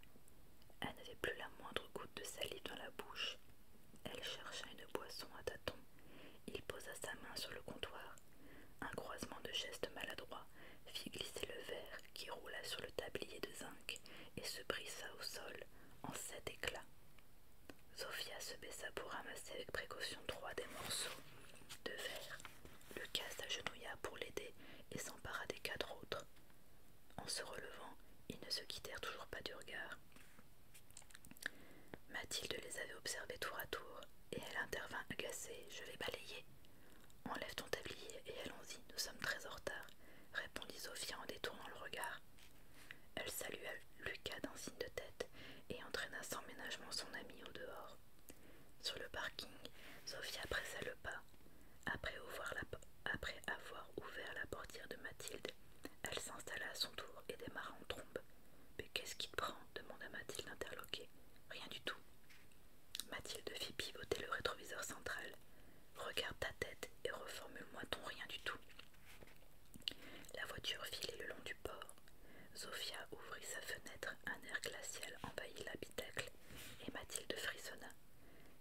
Elle n'avait plus la moindre goutte de salive dans la bouche, elle chercha une boisson à tâtons. Il posa sa main sur le comptoir. Un croisement de gestes maladroits fit glisser le verre qui roula sur le tablier de zinc et se brissa au sol en sept éclats. Sophia se baissa pour ramasser avec précaution trois des morceaux de verre. Lucas s'agenouilla pour l'aider et s'empara des quatre autres. En se relevant, ils ne se quittèrent toujours pas du regard. Mathilde les avait observés tour à tour, et elle intervint agacée. Je vais balayer. Enlève ton tablier et allons-y, nous sommes très en retard, répondit Sophia en détournant le regard. Elle salua Lucas d'un signe de tête et entraîna sans ménagement son amie au dehors. Sur le parking, Sophia pressa le pas. après avoir ouvert la portière de Mathilde, elle s'installa à son tour et démarra en trombe. Mais qu'est-ce qui te prend demanda Mathilde interloquée. Rien du tout. Mathilde fit pivoter le rétroviseur central. Regarde ta tête et reformule-moi ton rien du tout. La voiture filait le long du port. Zofia ouvrit sa fenêtre, un air glacial envahit l'habitacle, et Mathilde frissonna.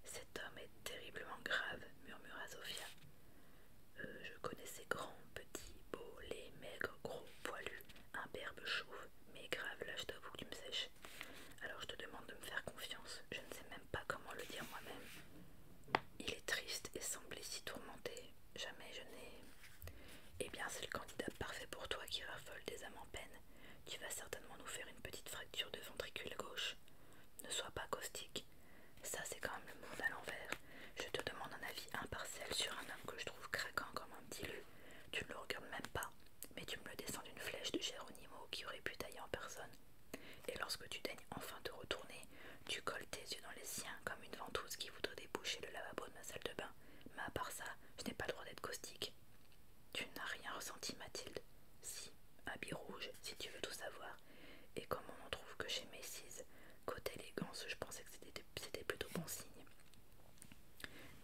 Cet homme est terriblement grave, murmura Sophia. Euh, je connaissais grands, petits, beaux, les, maigres, gros, poilu, imberbe, chauve, mais grave, lâche toi t'avoue que tu me sèches. Alors je te demande de me faire confiance, je ne sais même pas comment le dire moi-même. Il est triste et semblait si tourmenté, jamais je n'ai. Eh bien, c'est le candidat parfait pour toi qui raffole des âmes en peine. Tu vas certainement nous faire une petite fracture de ventricule gauche. Ne sois pas caustique, ça, c'est quand même le monde à l'envers. Je te demande un avis impartial sur un homme que je trouve craquant comme un petit Tu ne le regardes même pas, mais tu me le descends d'une flèche de Géronimo qui aurait pu tailler en personne. Et lorsque tu daignes enfin te retourner, tu colles tes yeux dans les siens comme une ventouse qui voudrait déboucher le lavabo de ma salle de bain. Mais à part ça, je n'ai pas le droit d'être caustique. Tu n'as rien ressenti, Mathilde Si, habit rouge, si tu veux tout savoir. Et comme on trouve que chez Macy's, côté élégance, je pensais que c'était plutôt bon signe.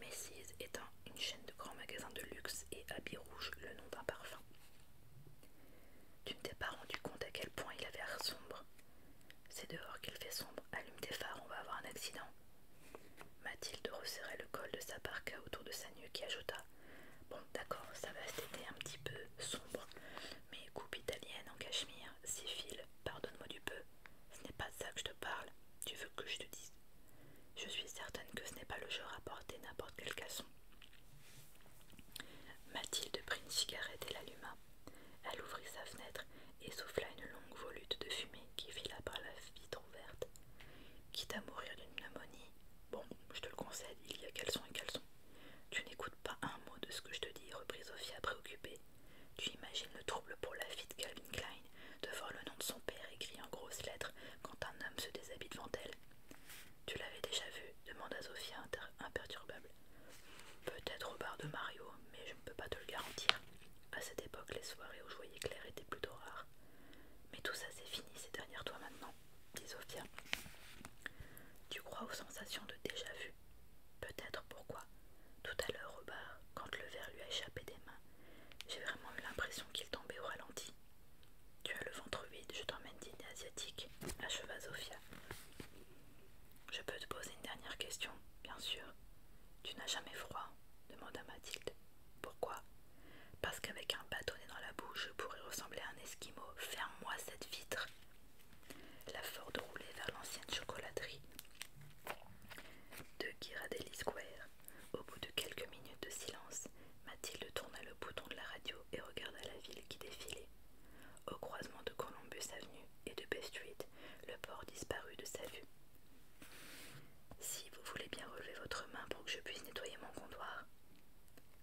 Macy's est une chaîne de grands magasins de luxe et habits rouge, le nom d'un parfum. Tu ne t'es pas rendu compte à quel point il avait l'air sombre. C'est dehors qu'il fait sombre, allume tes phares, on va avoir un accident. Mathilde resserrait le col de sa parka autour de sa nuque qui ajouta Bon, d'accord, ça va cet un petit peu sombre, mais coupe italienne en cachemire, siphile, pardonne-moi du peu, ce n'est pas ça que je te parle, tu veux que je te dise. Je suis certaine que ce n'est pas le genre à porter n'importe quel casson. Mathilde prit une cigarette et l'alluma. Elle ouvrit sa fenêtre et souffla une longue volute de fumée qui fila par la vitre ouverte. Quitte à mourir d'une pneumonie, Bon, je te le concède, il y a caleçon et caleçon. Tu n'écoutes pas un mot de ce que je te dis, reprit Sophia préoccupée. Tu imagines le trouble pour la fille de Calvin Klein de voir le nom de son père écrit en grosses lettres quand un homme se déshabille devant elle. Tu l'avais déjà vu demanda Sophia imperturbable. Peut-être au bar de Mario, mais je ne peux pas te le garantir. À cette époque, les soirées au joyeux clair étaient plutôt rares. Mais tout ça, c'est fini, Ces dernières toi maintenant dit Tu crois aux sensations de déjà-vu Peut-être pourquoi Tout à l'heure au bar, quand le verre lui a échappé des mains, j'ai vraiment eu l'impression qu'il tombait au ralenti. Tu as le ventre vide, je t'emmène dîner asiatique, acheva Sofia. Je peux te poser une dernière question, bien sûr. Tu n'as jamais froid demanda Mathilde. Pourquoi Parce qu'avec un bâtonnet dans la bouche, je pourrais ressembler à un esquimau. Ferme-moi cette vitre la Ford roulait vers l'ancienne chocolaterie de Girardelli Square. Au bout de quelques minutes de silence, Mathilde tourna le bouton de la radio et regarda la ville qui défilait. Au croisement de Columbus Avenue et de Bay Street, le port disparut de sa vue. Si vous voulez bien relever votre main pour que je puisse nettoyer mon comptoir.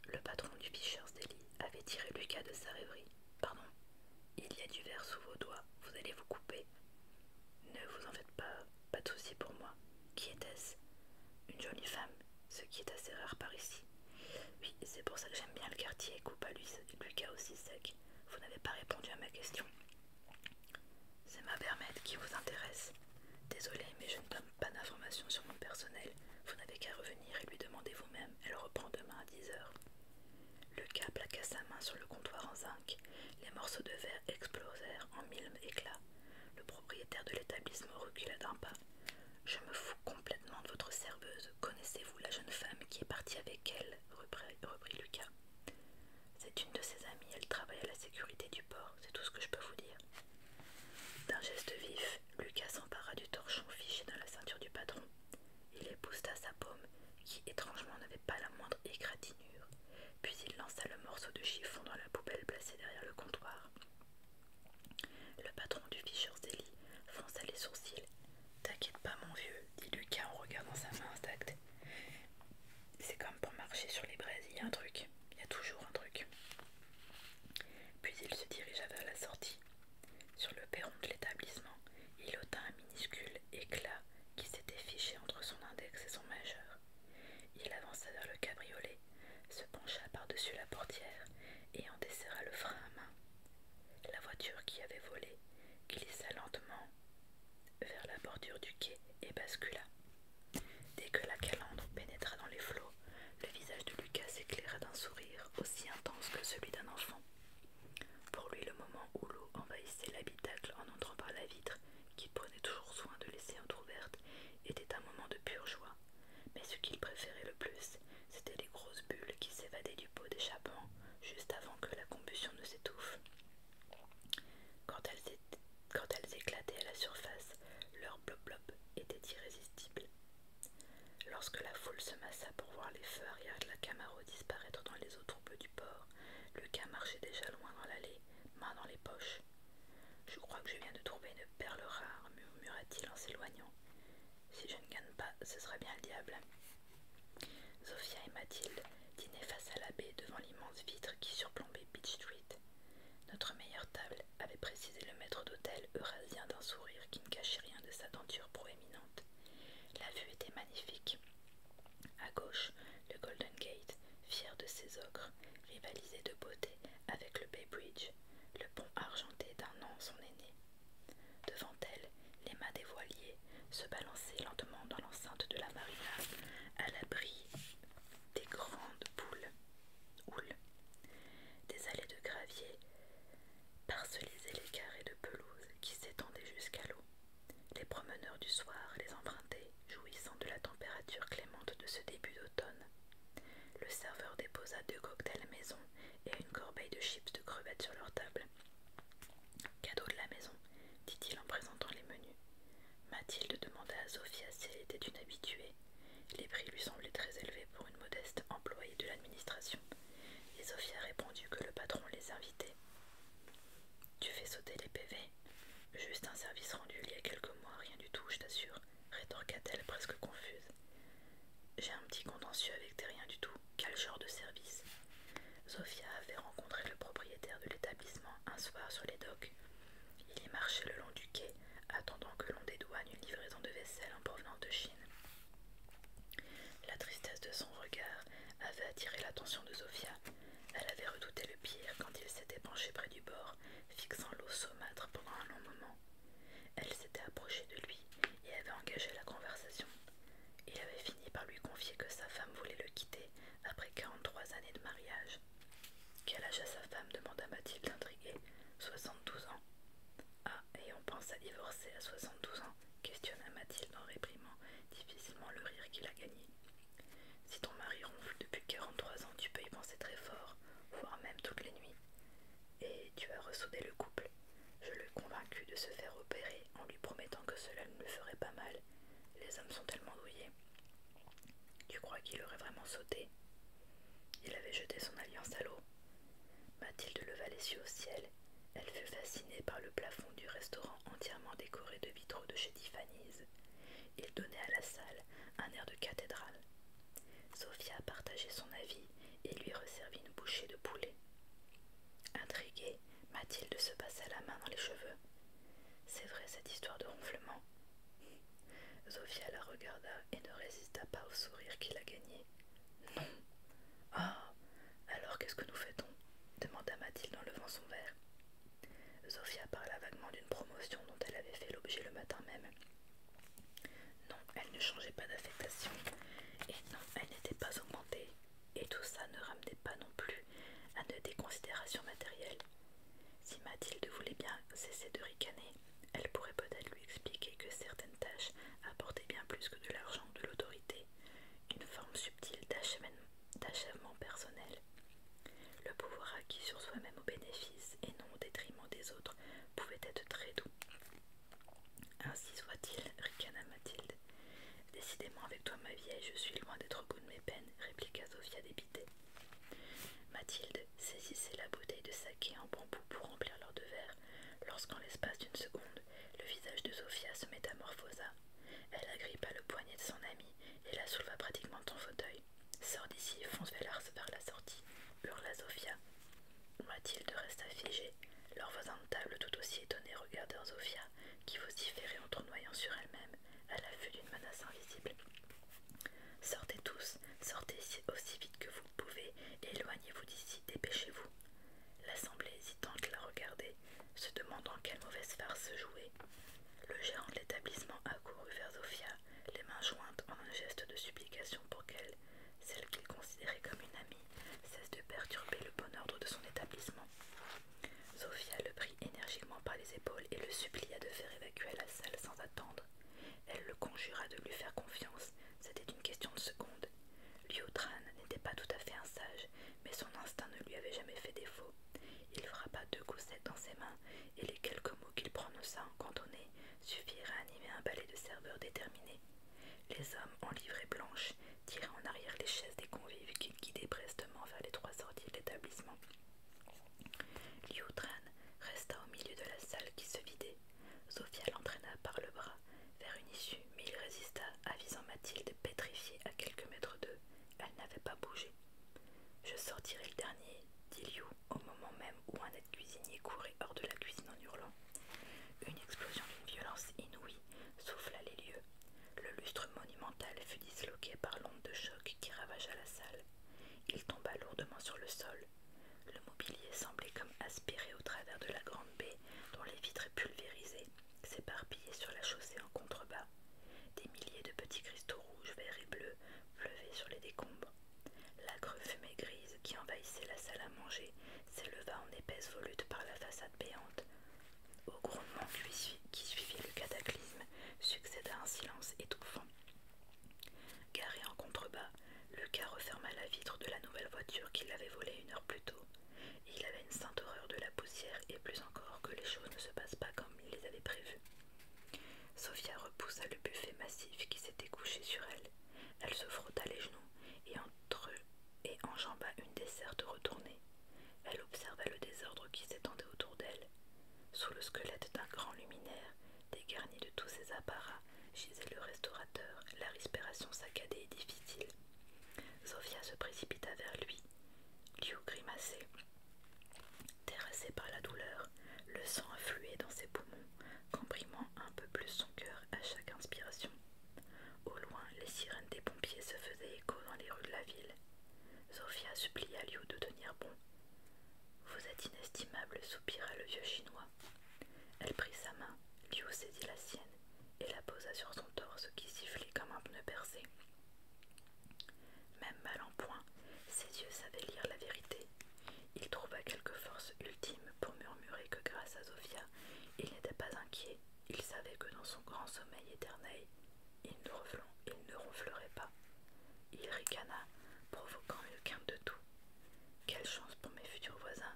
Le patron du Fisher's Deli avait tiré Lucas de sa rêverie. Pardon, il y a du verre sous vos doigts, vous allez vous couper. Ne vous en faites pas, pas de souci pour moi. Qui était-ce Une jolie femme, ce qui est assez rare par ici. Oui, c'est pour ça que j'aime bien le quartier, lui, Lucas aussi sec. Vous n'avez pas répondu à ma question. C'est ma permette qui vous intéresse. Désolée, mais je ne peux pas d'informations sur mon personnel, vous n'avez qu'à revenir et lui demander vous-même. Elle reprend demain à 10 heures. Lucas plaqua sa main sur le comptoir en zinc. Les morceaux de verre explosèrent en mille éclats. Le propriétaire de l'établissement recula d'un pas. Je me fous complètement de votre serveuse. Connaissez-vous la jeune femme qui est partie avec elle reprit Lucas. C'est une de ses amies. Elle travaille à la sécurité du port. C'est tout ce que je peux vous dire. D'un geste vif, Lucas s'empara du torchon fiché dans la ceinture du patron. Il épousta sa paume, qui étrangement n'avait pas la moindre égratignure, puis il lança le morceau de chiffon dans la poubelle placée derrière le comptoir. Le patron du fichier Zélie fronça les sourcils. T'inquiète pas, mon vieux, dit Lucas en regardant sa main intacte. C'est comme pour marcher sur les braises, il y a un truc, il y a toujours un truc. Puis il se dirigea vers la sortie, sur le perron de l'établissement, il ôta un minuscule éclat qui s'était fiché entre son index et son majeur. Il avança vers le cabriolet, se pencha par-dessus la portière et en desserra le frein à main. La voiture qui avait volé glissa lentement vers la bordure du quai et bascula. Dès que la calandre pénétra dans les flots, le visage de Lucas s'éclairait d'un sourire aussi intense que celui d'un enfant. Pour lui, le moment où l'eau envahissait l'habitacle en entrant par la vitre, qu'il prenait toujours soin de laisser entr'ouverte, était un moment de pure joie. Mais ce qu'il préférait le plus, c'était les grosses bulles qui s'évadaient du pot d'échappement juste avant que la combustion ne s'étouffe. Quand elles, quand elles éclataient à la surface, leur blop-blop était irrésistible. Lorsque la foule se massa pour voir les feux arrière de la Camaro disparaître dans les eaux troubles du port, Lucas marchait déjà loin dans l'allée, main dans les poches. Je crois que je viens de trouver une perle rare, murmura-t-il en s'éloignant. Si je ne gagne pas, ce serait bien le diable. Sophia et Mathilde dînaient face à l'abbé devant l'immense vitre qui surplombait Beach Street. Notre meilleure table, avait précisé le maître d'hôtel eurasien d'un sourire qui ne cachait rien de sa denture proéminente. La vue était magnifique. À gauche, le Golden Gate, fier de ses ocres, rivalisait de beauté avec le Bay Bridge, le pont argenté d'un an son aîné. Devant elle, les mâts des voiliers se balançaient lentement dans l'enceinte de la marina, à l'abri des grandes boules, Des allées de gravier parcelisait les carrés de pelouse qui s'étendaient jusqu'à l'eau. Les promeneurs du soir les empruntaient, jouissant de la température clémente de ce début d'automne. Le serveur déposa deux cocktails maison et une corbeille de chips de crevettes sur leur table. Cadeau de la maison, dit-il en présentant les menus. Mathilde demanda à Sophia si elle était une habituée. Les prix lui semblaient très élevés pour une modeste employée de l'administration et Sophia répondit que le patron les invitait. Tu fais sauter les PV Juste un service rendu il y a quelques mois, rien du tout, je t'assure, rétorqua-t-elle presque confuse. J'ai un petit contentieux avec tes rien du tout. Quel genre de service Sophia avait rencontré le propriétaire de l'établissement un soir sur les docks. Il y marchait le long du quai, attendant que l'on dédouane une livraison de vaisselle en provenance de Chine. La tristesse de son regard avait attiré l'attention de Sofia. Elle avait redouté le pire quand il s'était penché près du bord, fixant l'eau saumâtre pendant un long moment. Elle s'était approchée de lui et avait engagé la conversation. Il avait fini par lui confier que sa femme voulait le quitter après 43 années de mariage. Quel âge a sa femme demanda Mathilde intriguée. 72 ans. Ah, et on pense à divorcer à 72 ans questionna Mathilde en réprimant difficilement le rire qu'il a gagné. Si ton mari ronfle depuis 43 ans, tu peux y penser très fort, voire même toutes les nuits. Et tu as ressoudé le couple. Je l'ai convaincu de se faire opérer en lui promettant que cela ne lui ferait pas mal. Les hommes sont tellement douillés. Tu crois qu'il aurait vraiment sauté Il avait jeté son alliance à l'eau. Mathilde leva les yeux au ciel. Elle fut fascinée par le plafond du restaurant entièrement décoré de vitraux de chez Tiffany's. Il donnait à la salle un air de cathédrale. Sophia partageait son avis et lui resservit une bouchée de poulet. Intriguée, Mathilde se passa la main dans les cheveux. C'est vrai cette histoire de ronflement. Sophia la regarda et ne résista pas au sourire qui la gagnait. Non, ah Alors qu'est-ce que nous fait demanda Mathilde en levant son verre. Sophia parla vaguement d'une promotion dont elle avait fait l'objet le matin même. Non, elle ne changeait pas d'affectation, et non, elle n'était pas augmentée, et tout ça ne ramenait pas non plus à de déconsidérations matérielles. Si Mathilde voulait bien cesser de ricaner, elle pourrait peut-être lui expliquer que certaines tâches apportaient bien plus que de l'argent ou de l'autorité, une forme subtile d'achèvement personnel. Le pouvoir acquis sur soi-même au bénéfice et non au détriment des autres pouvait être très doux. Ainsi soit-il, ricana Mathilde. Décidément avec toi, ma vieille, je suis loin d'être au bout de mes peines, répliqua Sofia dépitée. Mathilde saisissait la bouteille de saké en bambou pour remplir leurs de verre lorsqu'en l'espace d'une seconde, le visage de Sofia se métamorphosa. Elle agrippa le poignet de son amie et la souleva pratiquement de son fauteuil. Sors d'ici et fonce vers la sortie, hurla Sophia. Mathilde resta figée. Leurs voisins de table, tout aussi étonnés, regardèrent Sofia, qui vociférait en tournoyant sur elle-même, à l'affût d'une menace invisible. Sortez tous, sortez aussi vite que vous pouvez, éloignez-vous d'ici, dépêchez-vous. L'assemblée hésitante la regardait, se demandant quelle mauvaise farce se jouait. Le gérant de l'établissement accourut vers Zofia, les mains jointes en un geste de supplication pour qu'elle, celle qu'il considérait comme une amie, cesse de perturber le bon ordre de son établissement. Zofia le prit énergiquement par les épaules et le supplia de faire évacuer la salle sans attendre. Elle le conjura de lui faire confiance, c'était une question de secondes. Tran n'était pas tout à fait un sage, mais son instinct ne lui avait jamais fait défaut. Il frappa deux goussettes dans ses mains, et les quelques mots qu'il prononça en cantonné suffirent à animer un ballet de serveurs déterminés. Les hommes en livrée blanche tiraient en arrière les chaises des convives qu'ils guidaient prestement vers les trois sorties de l'établissement. Tran resta au milieu de la salle qui se vidait, Sophia l'entraîna par le bras vers une issue, mais il résista, avisant Mathilde pétrifiée à quelques mètres d'eux. Elle n'avait pas bougé. Je sortirai le dernier, dit Liu, au moment même où un aide cuisinier courait hors de la cuisine en hurlant. Une explosion d'une violence inouïe souffla les lieux. Le lustre monumental fut disloqué par l'onde de choc qui ravagea la salle. Il tomba lourdement sur le sol. Le mobilier semblait comme aspiré au travers de la grande baie dont les vitres pulvérisées s'éparpillaient sur la chaussée en contrebas. Des milliers de petits cristaux rouges, verts et bleus pleuvaient sur les décombres. L'acre fumée grise qui envahissait la salle à manger s'éleva en épaisse volute par la façade béante. Au grondement qui suivit le cataclysme succéda un silence étouffant. Garé en contrebas, Lucas referma la vitre de la nouvelle voiture qu'il avait volée une heure plus tôt il avait une sainte horreur de la poussière et plus encore que les choses ne se passent pas comme il les avait prévues. Sophia repoussa le buffet massif qui s'était couché sur elle. Elle se frotta les genoux et, entre... et enjamba une desserte retournée. Elle observa le désordre qui s'étendait autour d'elle. Sous le squelette d'un grand luminaire, dégarni de tous ses apparats, gisait le restaurateur, la respiration saccadée et difficile. Zofia se précipita vers lui. Liu grimaçait. Terrassé par la douleur, le sang affluait dans ses poumons, comprimant un peu plus son cœur à chaque inspiration. Au loin, les sirènes des pompiers se faisaient écho dans les rues de la ville. Sophia supplia Liu de tenir bon. Vous êtes inestimable, soupira le vieux chinois. Elle prit sa main, Liu saisit la sienne et la posa sur son torse qui sifflait comme un pneu percé. Même mal en point, ses yeux savaient lire la vérité. Il trouva quelque force ultime pour murmurer que grâce à Zofia, il n'était pas inquiet. Il savait que dans son grand sommeil éternel, il ne, il ne ronflerait pas. Il ricana, provoquant une quinte de tout. Quelle chance pour mes futurs voisins,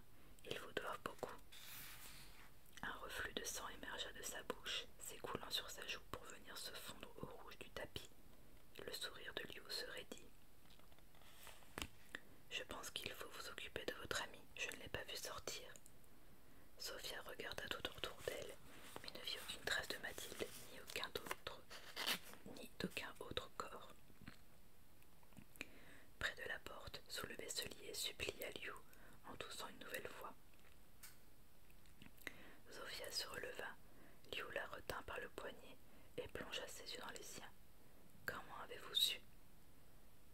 ils vous doivent beaucoup. Un reflux de sang émergea de sa bouche, s'écoulant sur sa joue pour venir se fondre au rouge du tapis. Le sourire de Liu se raidit. Je pense qu'il faut vous occuper de votre ami, je ne l'ai pas vu sortir. Sophia regarda tout autour d'elle, mais ne vit aucune trace de Mathilde, ni aucun autre, ni d'aucun autre corps. Près de la porte, sous le et supplia Liu en toussant une nouvelle fois. Zofia se releva, Liu la retint par le poignet et plongea ses yeux dans les siens. Comment avez-vous su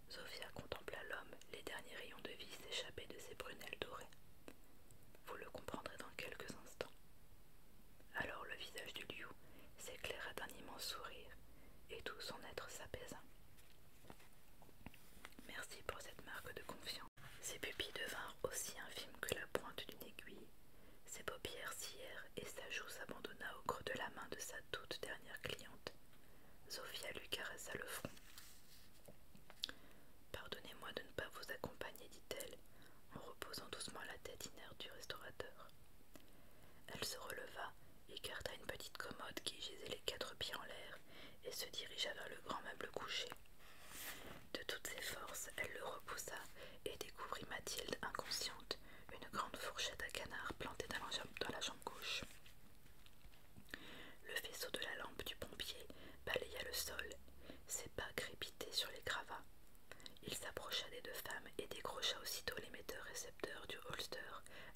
Zofia contempla l'homme, les derniers rayons de vie s'échappaient de ses prunelles dorées. Vous le comprendrez dans quelques instants. Alors le visage de Liu s'éclaira d'un immense sourire, et tout son être s'apaisa. Merci pour cette marque de confiance. Ses pupilles devinrent aussi infimes que la pointe d'une aiguille, ses paupières scièrent et sa joue s'abandonna au creux de la main de sa toute dernière cliente. Sophia lui caressa le front. Pardonnez-moi de ne pas vous accompagner, dit-elle, en reposant doucement la tête inerte du restaurateur. Elle se releva écarta une petite commode qui gisait les quatre pieds en l'air et se dirigea vers le grand meuble couché. De toutes ses forces, elle le repoussa et découvrit Mathilde inconsciente, une grande fourchette à canard plantée dans la jambe, gauche. Le faisceau de la lampe du pompier balaya le sol, ses pas crépitaient sur les gravats. Il s'approcha des deux femmes et décrocha aussitôt l'émetteur et du holster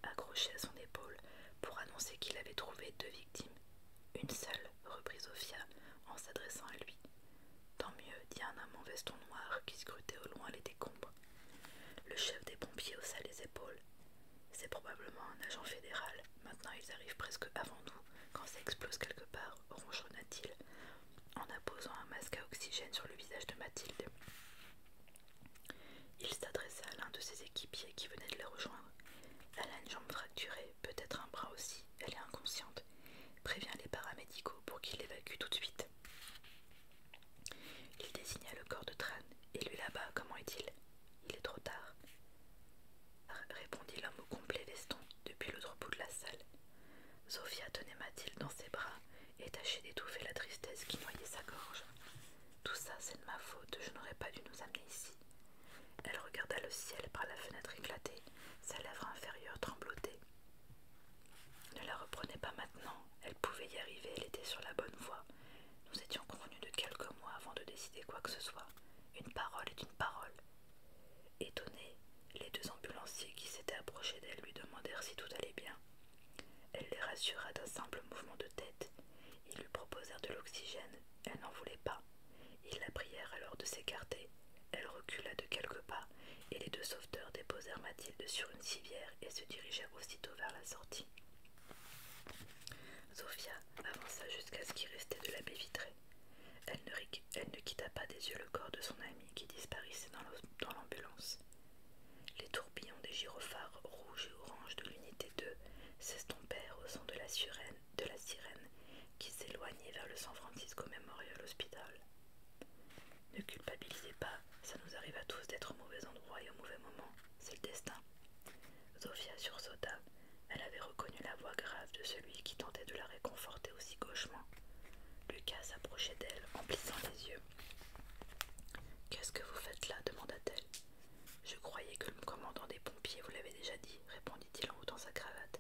accroché à son épaule pour annoncer qu'il avait trouvé deux victimes. Une seule, reprit Sophia en s'adressant à lui. Tant mieux, dit un homme en veston noir qui scrutait au loin les décombres. Le chef des pompiers haussa les épaules. C'est probablement un agent fédéral. Maintenant, ils arrivent presque avant nous quand ça explose quelque part, ronchonna-t-il en apposant un masque à oxygène sur le visage de Mathilde. Il s'adressa à l'un de ses équipiers qui venait de les rejoindre. Elle a une jambe fracturée, peut-être un bras aussi, elle est inconsciente. Préviens les paramédicaux pour qu'ils l'évacuent tout de suite. Il désigna le corps de Tran. Et lui là-bas, comment est-il Il est trop tard. Répondit l'homme au complet veston depuis l'autre bout de la salle. Sophia tenait Mathilde dans ses bras et tâchait d'étouffer la tristesse qui noyait sa gorge. Tout ça, c'est de ma faute, je n'aurais pas dû nous amener ici. Elle regarda le ciel par la fenêtre éclatée, sa lèvre inférieure tremblotait. Ne la reprenez pas maintenant, elle pouvait y arriver, elle était sur la bonne voie. Nous étions convenus de quelques mois avant de décider quoi que ce soit. Une parole est une parole. Étonnés, les deux ambulanciers qui s'étaient approchés d'elle lui demandèrent si tout allait bien. Elle les rassura d'un simple mouvement de tête. Ils lui proposèrent de l'oxygène. Elle n'en voulait pas. Ils la prièrent alors de s'écarter. Elle recula de quelques pas et les deux sauveteurs déposèrent Mathilde sur une civière et se dirigèrent aussitôt vers la sortie. Sophia avança jusqu'à ce qui restait de la baie vitrée. elle ne quitta pas des yeux le corps de son amie qui disparaissait dans l'ambulance. Les tourbillons des gyrophares rouges et oranges de l'unité 2 s'estompèrent au son de la, sirène, de la sirène qui s'éloignait vers le San Francisco Memorial Hospital. Ne culpabilisez pas, ça nous arrive à tous d'être au mauvais endroit et au mauvais moment, c'est le destin. Zofia sursauta, elle avait reconnu la voix grave de celui qui tentait de la réconforter aussi gauchement. Lucas s'approchait d'elle en plissant les yeux. Qu'est-ce que vous faites là demanda-t-elle. Je croyais que le commandant des pompiers vous l'avait déjà dit, répondit-il en ôtant sa cravate.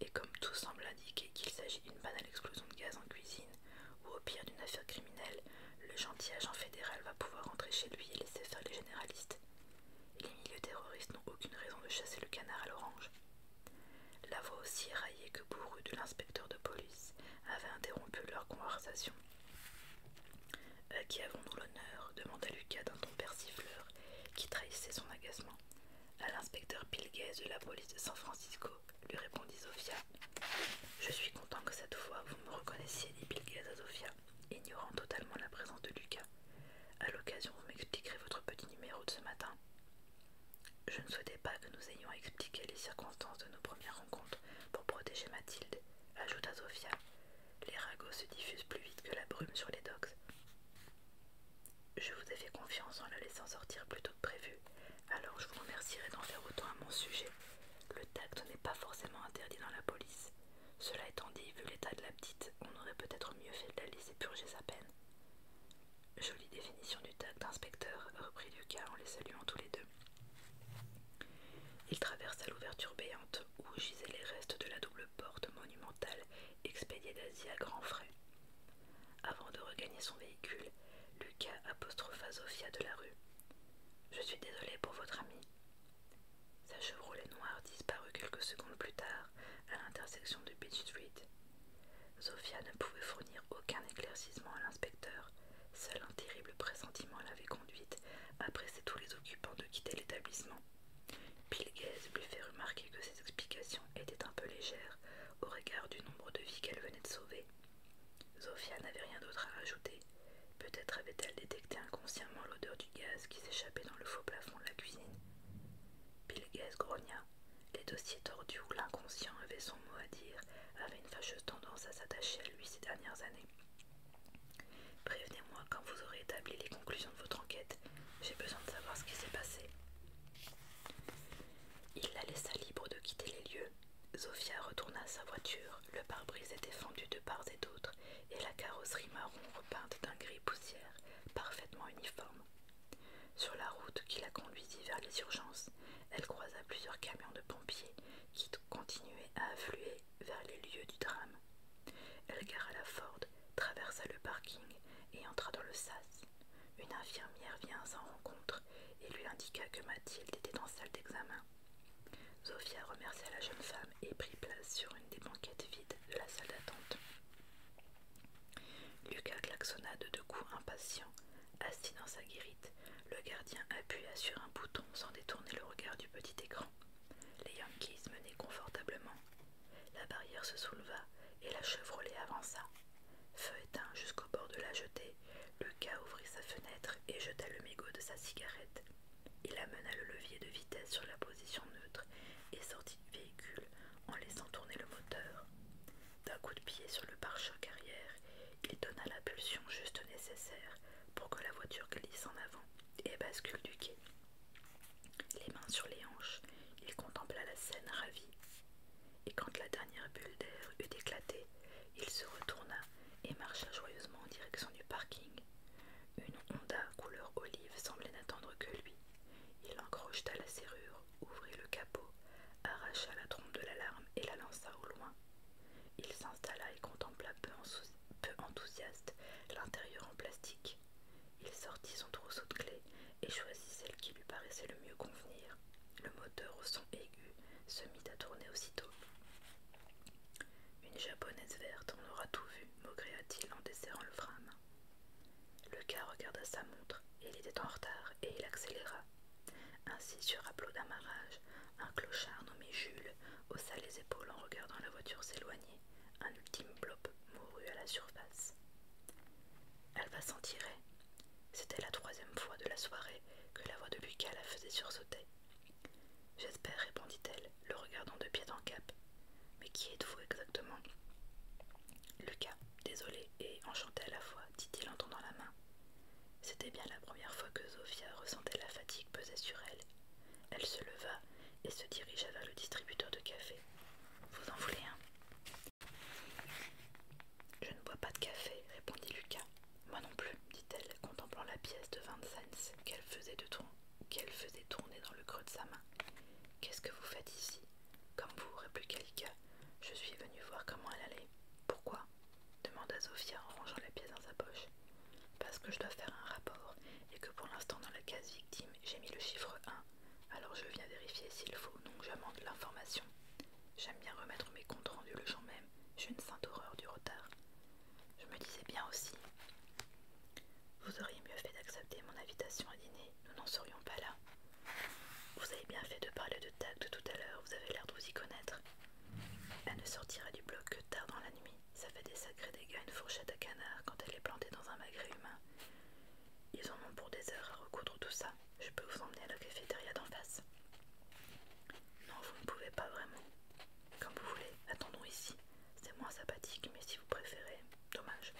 Et comme tout semble indiquer qu'il s'agit d'une banale explosion de gaz en cuisine, ou au pire d'une affaire criminelle, le gentil agent fédéral va pouvoir entrer chez lui et laisser faire les généralistes. Et les milieux terroristes n'ont aucune raison de chasser le canard à l'orange. La voix aussi raillée que bourrue de l'inspecteur de police avait interrompu leur conversation à euh, qui avons-nous l'honneur demanda Lucas d'un ton persifleur qui trahissait son agacement. À l'inspecteur Pilguez de la police de San Francisco, lui répondit Sofia. Je suis content que cette fois vous me reconnaissiez, dit Pilguez à Sofia, ignorant totalement la présence de Lucas. À l'occasion, vous m'expliquerez votre petit numéro de ce matin. Je ne souhaitais pas que nous ayons à expliquer les circonstances de nos premières rencontres pour protéger Mathilde, ajouta Sofia. Les ragots se diffusent plus vite que la brume sur les docks. Je vous ai fait confiance en la laissant sortir plus tôt que prévu, alors je vous remercierai d'en faire autant à mon sujet. Le tact n'est pas forcément interdit dans la police. Cela étant dit, vu l'état de la petite, on aurait peut-être mieux fait de la laisser purger sa peine. Jolie définition du tact, inspecteur, reprit Lucas en les saluant tous les deux. Il traversa l'ouverture béante où gisaient les restes de la double porte monumentale expédiée d'Asie à grands frais. Avant de regagner son véhicule, Lucas apostropha Zofia de la rue. Je suis désolé pour votre ami. Sa Chevrolet noire disparut quelques secondes plus tard à l'intersection de Beach Street. Zofia ne pouvait fournir aucun éclaircissement à l'inspecteur, seul un terrible pressentiment l'avait conduite a tous les occupants de quitter l'établissement. Bill lui fait remarquer que ses explications étaient un peu légères au regard du nombre de vies qu'elle venait de sauver. Zofia n'avait rien d'autre à rajouter. Peut-être avait-elle détecté inconsciemment l'odeur du gaz qui s'échappait dans le faux plafond de la cuisine. Bill grogna. Les dossiers tordus où l'inconscient avait son mot à dire avaient une fâcheuse tendance à s'attacher à lui ces dernières années. Prévenez-moi quand vous aurez établi les conclusions de votre enquête. J'ai besoin de savoir ce qui s'est passé. Il la laissa libre de quitter les lieux. Zofia retourna à sa voiture. Le pare-brise était fendu de part et d'autre et la carrosserie marron repeinte d'un gris poussière, parfaitement uniforme. Sur la route qui la conduisit vers les urgences, elle croisa plusieurs camions de pompiers qui continuaient à affluer vers les lieux du drame. Elle gara la Ford, traversa le parking et entra dans le SAS. Une infirmière vient à sa rencontre et lui indiqua que Mathilde était en salle d'examen. Zofia remercia la jeune femme et prit place sur une des banquettes vides de la salle d'attente. Lucas klaxonna de deux coups impatients, assis dans sa guérite. Le gardien appuya sur un bouton sans détourner le regard du petit écran. Les Yankees menaient confortablement. La barrière se souleva et la Chevrolet avança. Feu éteint jusqu'au bord de la jetée, Lucas ouvrit sa fenêtre et jeta le mégot de sa cigarette. Il amena le levier de vitesse sur la position neutre et sortit du véhicule en laissant tourner le moteur. D'un coup de pied sur le pare-choc arrière, il donna la pulsion juste nécessaire pour que la voiture glisse en avant et bascule du quai. Les mains sur les hanches, il contempla la scène ravie Et quand la dernière bulle d'air eut éclaté, il se retourna et marcha joyeusement en direction du parking. Une Honda couleur olive semblait n'attendre que lui. Il encrocheta la serrure, ouvrit le capot, arracha la trompe de l'alarme et la lança au loin. Il s'installa et contempla peu en souci peu enthousiaste, l'intérieur en plastique. Il sortit son trousseau de clés et choisit celle qui lui paraissait le mieux convenir. Le moteur au son aigu se mit à tourner aussitôt. Une japonaise verte, on aura tout vu, maugréa-t-il en desserrant le frein Le gars regarda sa montre, il était en retard et il accéléra. Ainsi, sur un plot d'amarrage, un clochard nommé Jules haussa les épaules en regardant la voiture s'éloigner. Un ultime blob mourut à la surface. Elle va s'en tirer. C'était la troisième fois de la soirée que la voix de Lucas la faisait sursauter. J'espère, répondit-elle, le regardant de pied en cap. Mais qui êtes-vous exactement Lucas, désolé et enchanté à la fois, dit-il en tendant la main. C'était bien la première fois que Zofia ressentait la fatigue peser sur elle. Elle se leva et se dirigea vers le distributeur de café. Vous en voulez un Je ne bois pas de café, répondit Lucas. Moi non plus, dit-elle, contemplant la pièce de 20 cents qu'elle faisait, tourner dans le creux de sa main. Qu'est-ce que vous faites ici Comme vous, répliqua Lucas. Je suis venue voir comment elle allait. Pourquoi demanda Sophia en rangeant la pièce dans sa poche parce que je dois faire un rapport et que pour l'instant dans la case victime j'ai mis le chiffre 1 alors je viens vérifier s'il faut donc j'amende l'information j'aime bien remettre mes comptes rendus le jour même j'ai une sainte horreur du retard je me disais bien aussi vous auriez mieux fait d'accepter mon invitation à dîner nous n'en serions pas là vous avez bien fait de parler de tact tout à l'heure vous avez l'air de vous y connaître elle ne sortira du bloc que tard dans la nuit ça fait des sacrés dégâts une fourchette à canard quand elle est plantée dans un magret humain. Ils en ont pour des heures à recoudre tout ça. Je peux vous emmener à la cafétéria d'en face. Non, vous ne pouvez pas vraiment. Comme vous voulez, attendons ici. C'est moins sympathique, mais si vous préférez, dommage.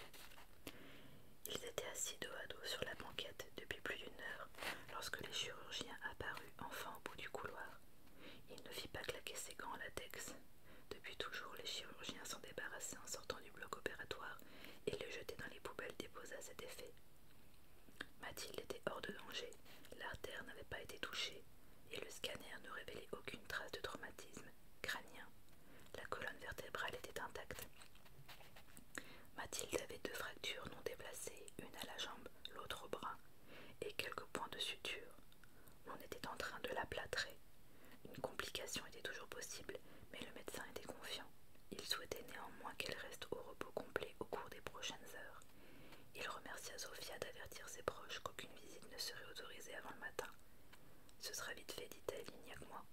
Ils étaient assis dos à dos sur la banquette depuis plus d'une heure lorsque les chirurgiens apparut enfin au bout du couloir. Il ne fit pas claquer ses gants en latex, depuis toujours, les chirurgiens s'en débarrassaient en sortant du bloc opératoire et le jetaient dans les poubelles déposées à cet effet. Mathilde était hors de danger, l'artère n'avait pas été touchée et le scanner ne révélait aucune trace de traumatisme crânien. La colonne vertébrale était intacte. Mathilde avait deux fractures non déplacées, une à la jambe, l'autre au bras, et quelques points de suture. On était en train de la plâtrer. Une complication était toujours possible, mais le médecin était confiant. Il souhaitait néanmoins qu'elle reste au repos complet au cours des prochaines heures. Il remercia Sofia d'avertir ses proches qu'aucune visite ne serait autorisée avant le matin. Ce sera vite fait, dit-elle, il n'y a que moi.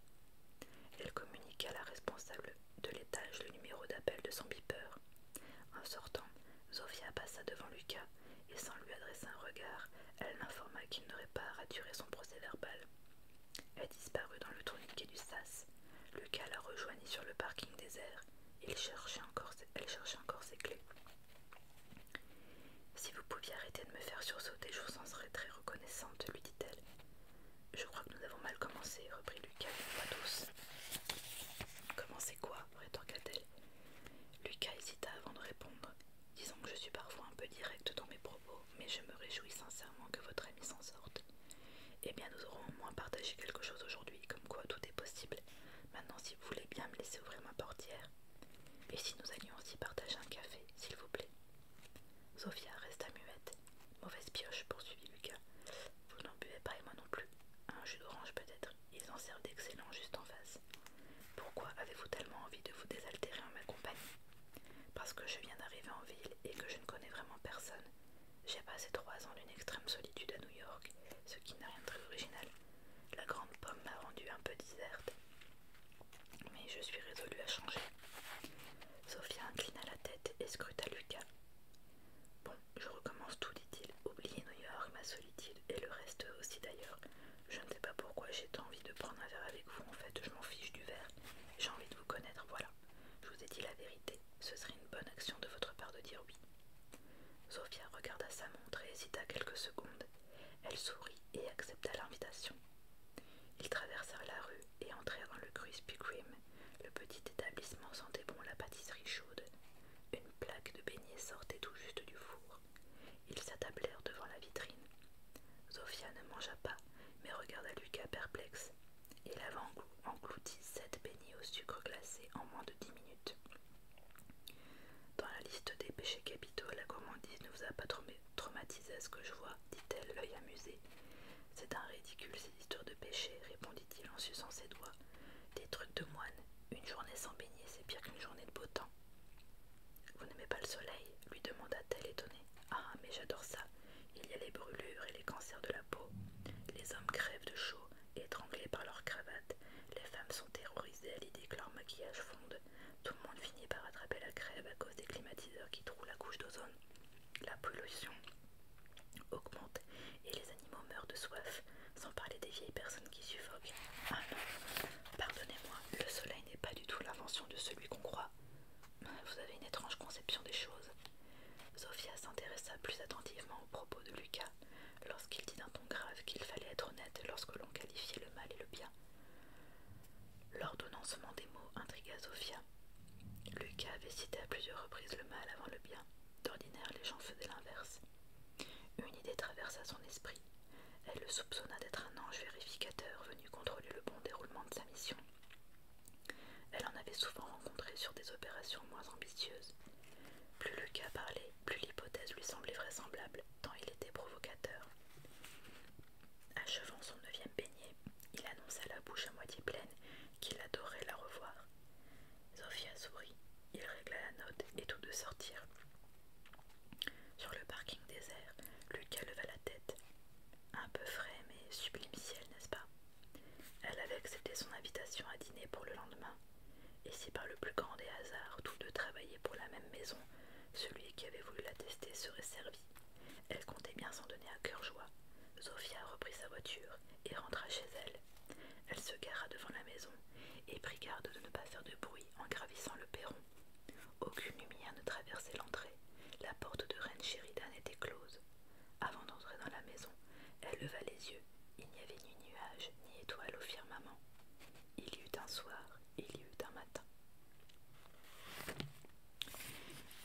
Elle communiqua à la responsable de l'étage le numéro d'appel de son beeper. En sortant, Sofia passa devant Lucas et sans lui adresser un regard, elle m'informa qu'il n'aurait pas raturé son procès-verbal. Elle disparut dans le tourniquet du sas. Lucas la rejoignit sur le parking désert. Il elle cherchait encore ses clés. Si vous pouviez arrêter de me faire sursauter, je vous en serais très reconnaissante, lui dit-elle. Je crois que nous avons mal commencé, reprit Lucas, d'une voix douce. Commencez quoi rétorqua-t-elle. Lucas hésita avant de répondre. Disons que je suis parfois un peu directe dans mes propos, mais je me réjouis sincèrement que votre ami s'en sorte. Eh bien, nous aurons au moins partagé quelque chose aujourd'hui, comme quoi tout est possible. Maintenant, si vous voulez bien me laisser ouvrir ma portière. Et si nous allions aussi partager un café, s'il vous plaît Sophia resta muette. Mauvaise pioche, poursuivit Lucas. Vous n'en buvez pas et moi non plus. Un jus d'orange peut-être. Ils en servent d'excellents juste en face. Pourquoi avez-vous tellement envie de vous désaltérer en ma compagnie Parce que je viens d'arriver en ville et que je ne connais vraiment personne. J'ai passé trois ans d'une extrême solitude à New York, ce qui n'a rien de très original. La grande pomme m'a rendu un peu déserte. Mais je suis résolue à changer. Sophia inclina la tête et scruta Lucas. Bon, je recommence tout, dit-il. Oubliez New York, ma solitude, et le reste aussi d'ailleurs. Je ne sais pas pourquoi j'ai tant envie de prendre un verre avec vous, en fait, je m'en fiche du verre. J'ai envie de vous connaître, voilà. Je vous ai dit la vérité. Ce serait une bonne action de votre part de dire oui. Sophia regarda sa montre et hésita quelques secondes. Elle sourit et accepta l'invitation. Ils traversèrent la rue et entrèrent dans le Crispy Cream, le petit établissement sentait bon la pâtisserie chaude. Une plaque de beignets sortait tout juste du four. Ils s'attablèrent devant la vitrine. Zofia ne mangea pas, mais regarda Lucas perplexe. Il avait englouti sept beignets au sucre glacé en moins de dix minutes. Dans la liste des péchés capitaux, la gourmandise ne vous a pas traumatisé à ce que je vois, dit-elle, l'œil amusé. C'est un ridicule ces histoires de péchés, répondit-il en suçant ses doigts. Des trucs de moine. Une journée sans beignets, c'est pire qu'une journée de beau temps. Vous n'aimez pas le soleil lui demanda-t-elle étonnée. Ah, mais j'adore ça. Il y a les brûlures et les cancers de la peau. Les hommes crèvent de chaud, étranglés par leurs cravates. Les femmes sont terrorisées à l'idée que leur maquillage fonde. Tout le monde finit par attraper la crève à cause des climatiseurs qui trouent la couche d'ozone. La pollution augmente et les animaux meurent de soif sans parler des vieilles personnes qui suffoquent. Ah pardonnez-moi, le soleil n'est pas du tout l'invention de celui qu'on croit. Vous avez une étrange conception des choses. Sophia s'intéressa plus attentivement aux propos de Lucas lorsqu'il dit d'un ton grave qu'il fallait être honnête lorsque l'on qualifiait le mal et le bien. L'ordonnancement des mots intrigua Sophia. Lucas avait cité à plusieurs reprises le mal avant le bien. D'ordinaire, les gens faisaient l'inverse. Une idée traversa son esprit. Elle le soupçonna d'être un ange vérificateur venu contrôler le bon déroulement de sa mission. Elle en avait souvent rencontré sur des opérations moins ambitieuses. Plus Lucas parlait, plus l'hypothèse lui semblait vraisemblable, tant il était provocateur. Achevant son neuvième beignet, il annonça la bouche à moitié pleine qu'il adorait la revoir. Sophia sourit, il régla la note et tous deux sortirent. Sur le parking désert, Lucas leva la tête. Un peu frais, mais sublime ciel, n'est-ce pas Elle avait accepté son invitation à dîner pour le lendemain. Et si par le plus grand des hasards, tous deux travaillaient pour la même maison, celui qui avait voulu la tester serait servi. Elle comptait bien s'en donner à cœur joie. Zofia reprit sa voiture et rentra chez elle. Elle se gara devant la maison et prit garde de ne pas faire de bruit en gravissant le perron aucune lumière ne traversait l'entrée. La porte de Reine Sheridan était close. Avant d'entrer dans la maison, elle leva les yeux. Il n'y avait ni nuages ni étoiles au firmament. Il y eut un soir, il y eut un matin.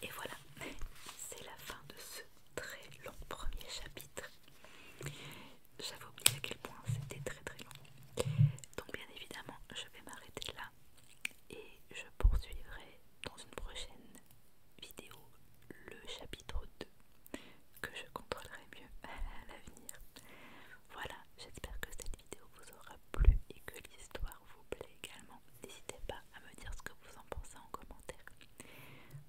Et voilà, c'est la fin de ce très long premier chapitre j'avais oublié à quel point c'était très très long. Donc bien évidemment, je vais m'arrêter là et je poursuivrai dans une prochaine vidéo le chapitre 2 que je contrôlerai mieux à l'avenir. Voilà, j'espère que cette vidéo vous aura plu et que l'histoire vous plaît également. N'hésitez pas à me dire ce que vous en pensez en commentaire.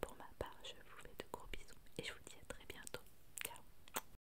Pour ma part, je vous fais de gros bisous et je vous dis à très bientôt. Ciao